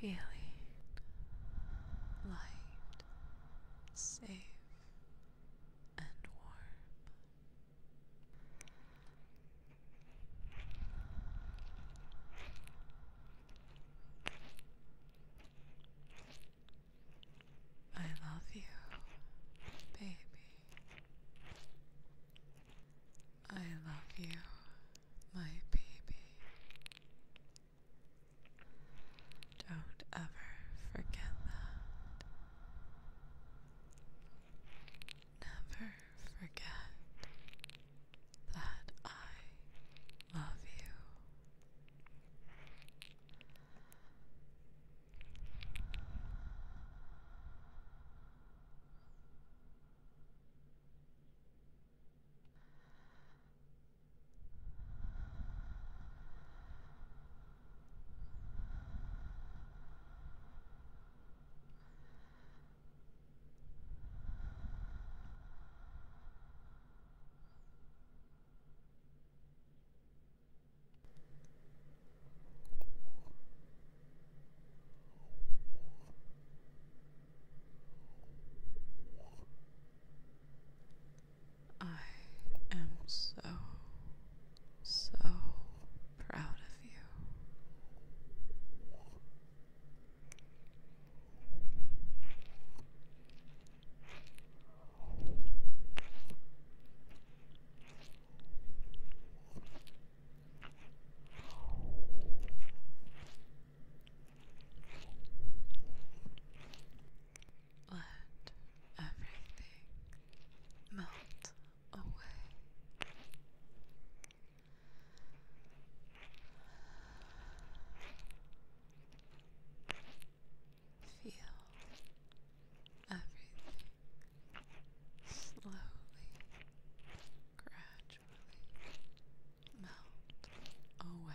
feeling light, safe, and warm. I love you, baby. I love you, my baby. Don't ever forget that. Never forget that I love you. I am so, so proud of you. Let everything melt away. Feel everything slowly, gradually melt away.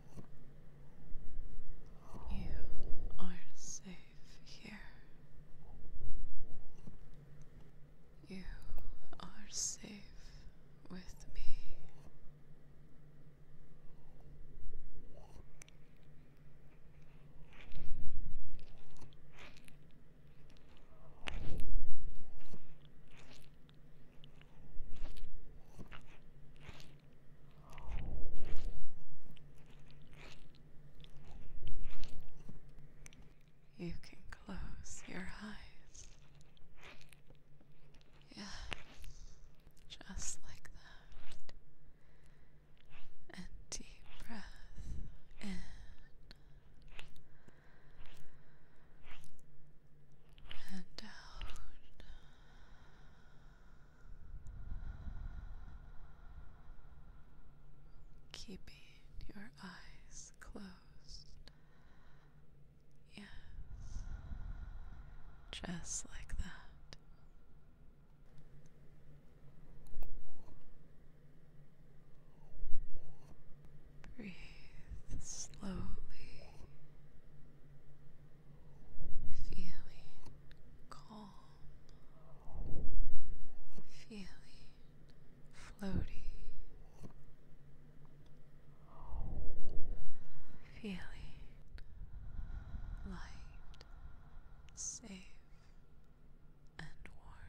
You are safe here. You are safe with me. You can close your eyes. Yeah, just like that. And deep breath in. And out. Keeping your eyes closed. Yes, just like that. Breathe slowly feeling calm, feeling floaty, feeling light, safe, and warm.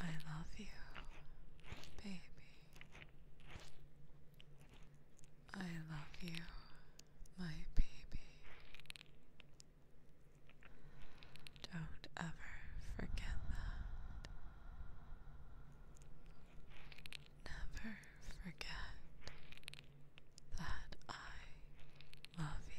I love you, baby. I love you, my baby. Don't ever forget that. Never forget that I love you.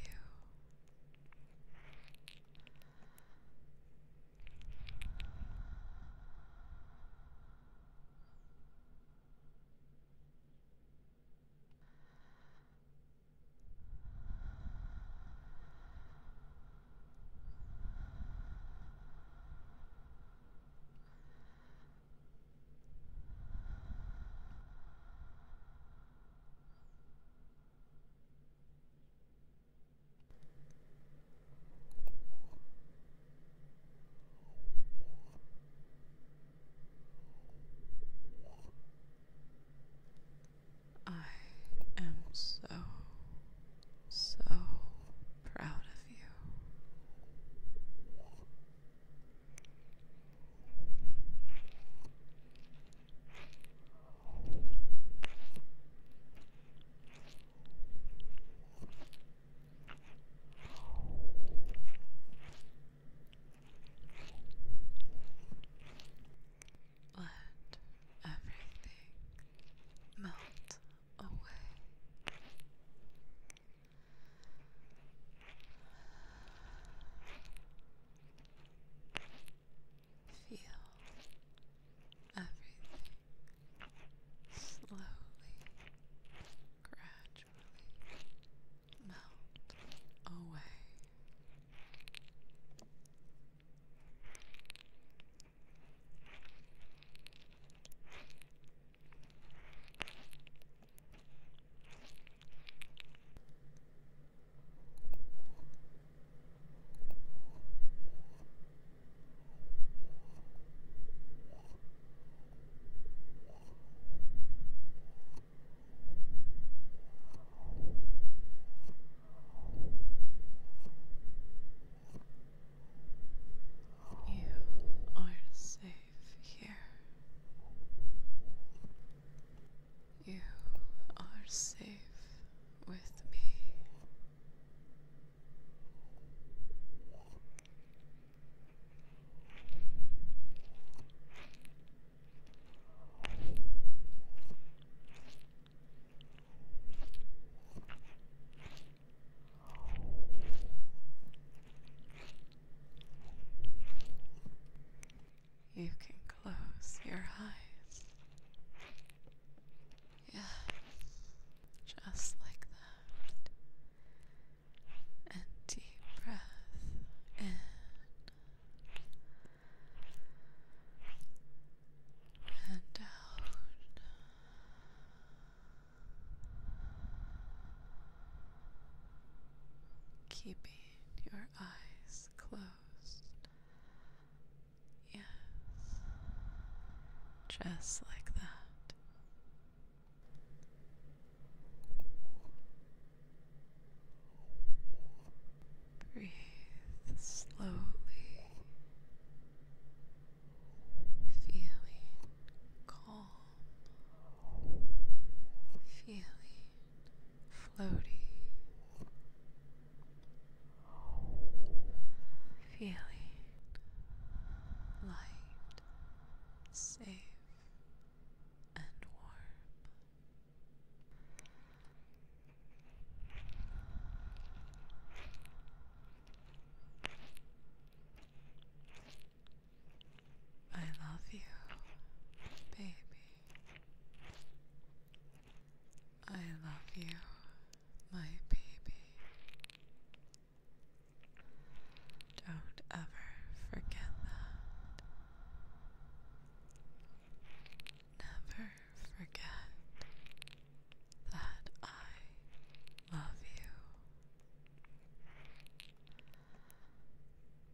I am so, so proud of you. Let everything melt away. Feel everything slowly, gradually melt away. You are safe here. You are safe with me. You can close your eyes. Yeah, just like that. And deep breath in. And out keeping your eyes closed. Yes, just like that. Breathe slowly, feeling calm feeling floaty, feeling light, safe, and warm. I love you, baby. I love you, my baby. Don't ever forget that. Never forget that I love you.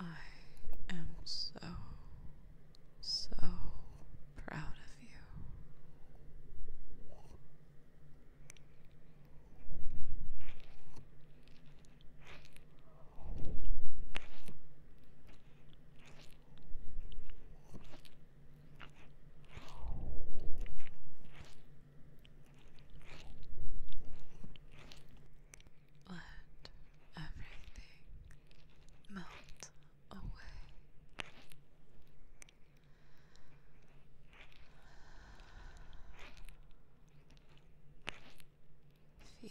I am so, so proud of you. Let everything melt away. Feel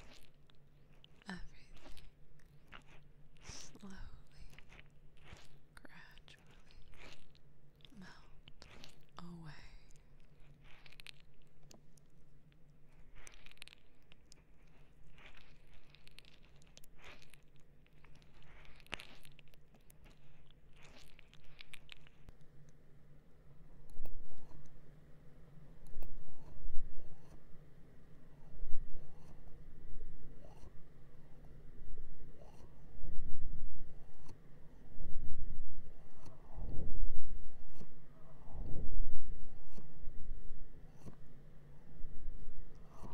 everything slowly, gradually melt away.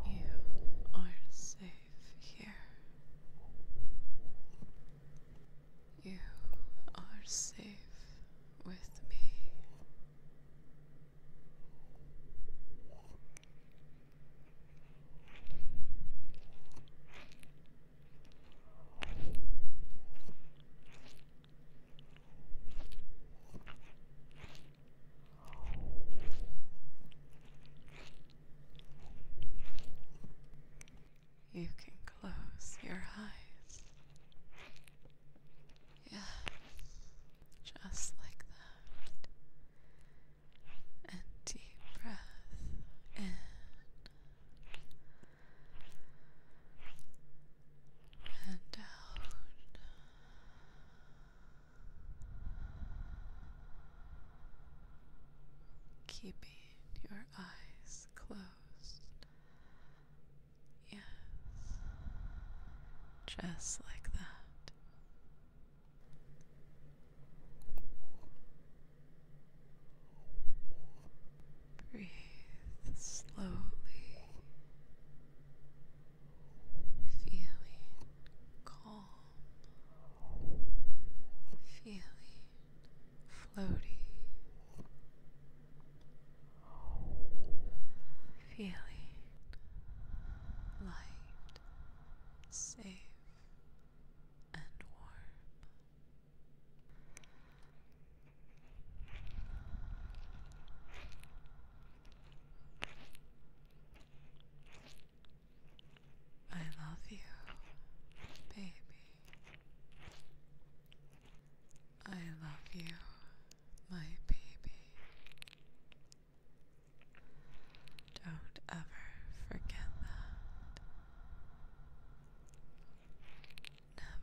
You are safe here. You are safe with me. You can close your eyes. Yeah, just like that. And deep breath in and out. Keeping your eyes closed Yes. Just like that. Breathe slowly, feeling calm, feeling floaty, Feeling light, safe, and warm. I love you, baby. I love you, my baby. Don't ever forget that.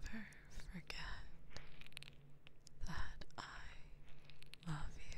Never forget that I love you.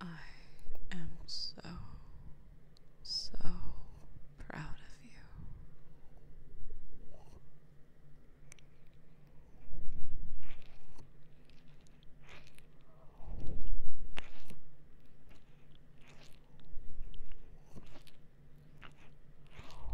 I am so, so proud of you. Let everything melt away.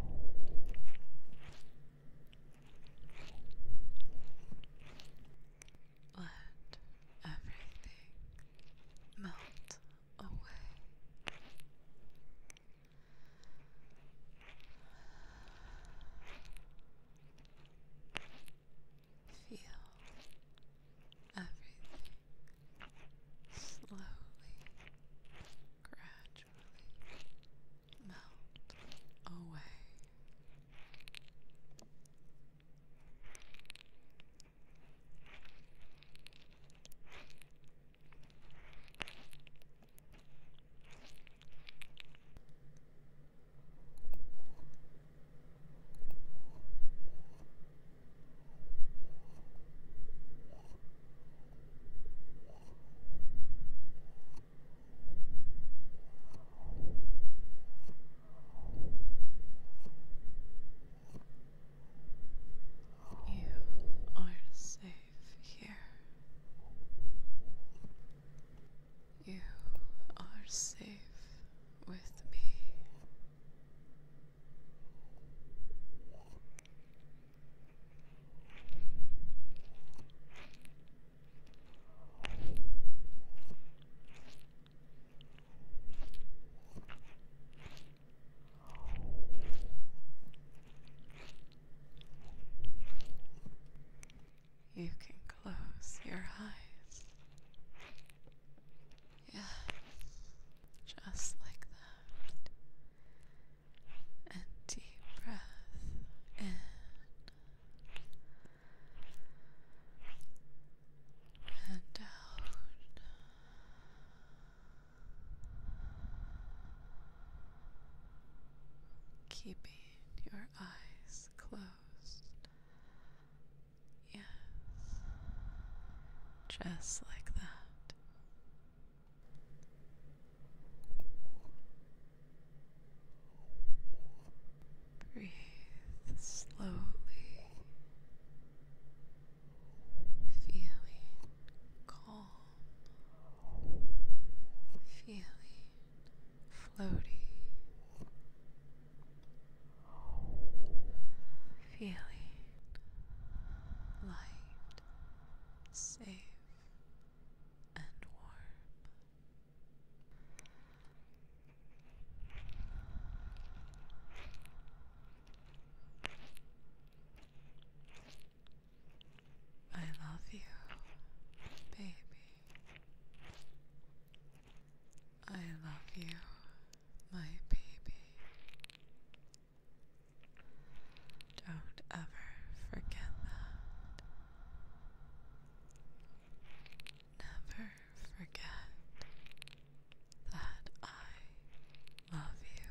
Feel everything slowly gradually melt away. You are safe here. You are safe with me. You can close your eyes. Yes, just like that and deep breath in and out. Keeping your eyes closed. Yes, just like that. Breathe slowly, feeling calm, feeling floaty, feeling light, safe and warm. I love you, baby. I love you, my baby. Don't ever forget that. Never forget that I love you.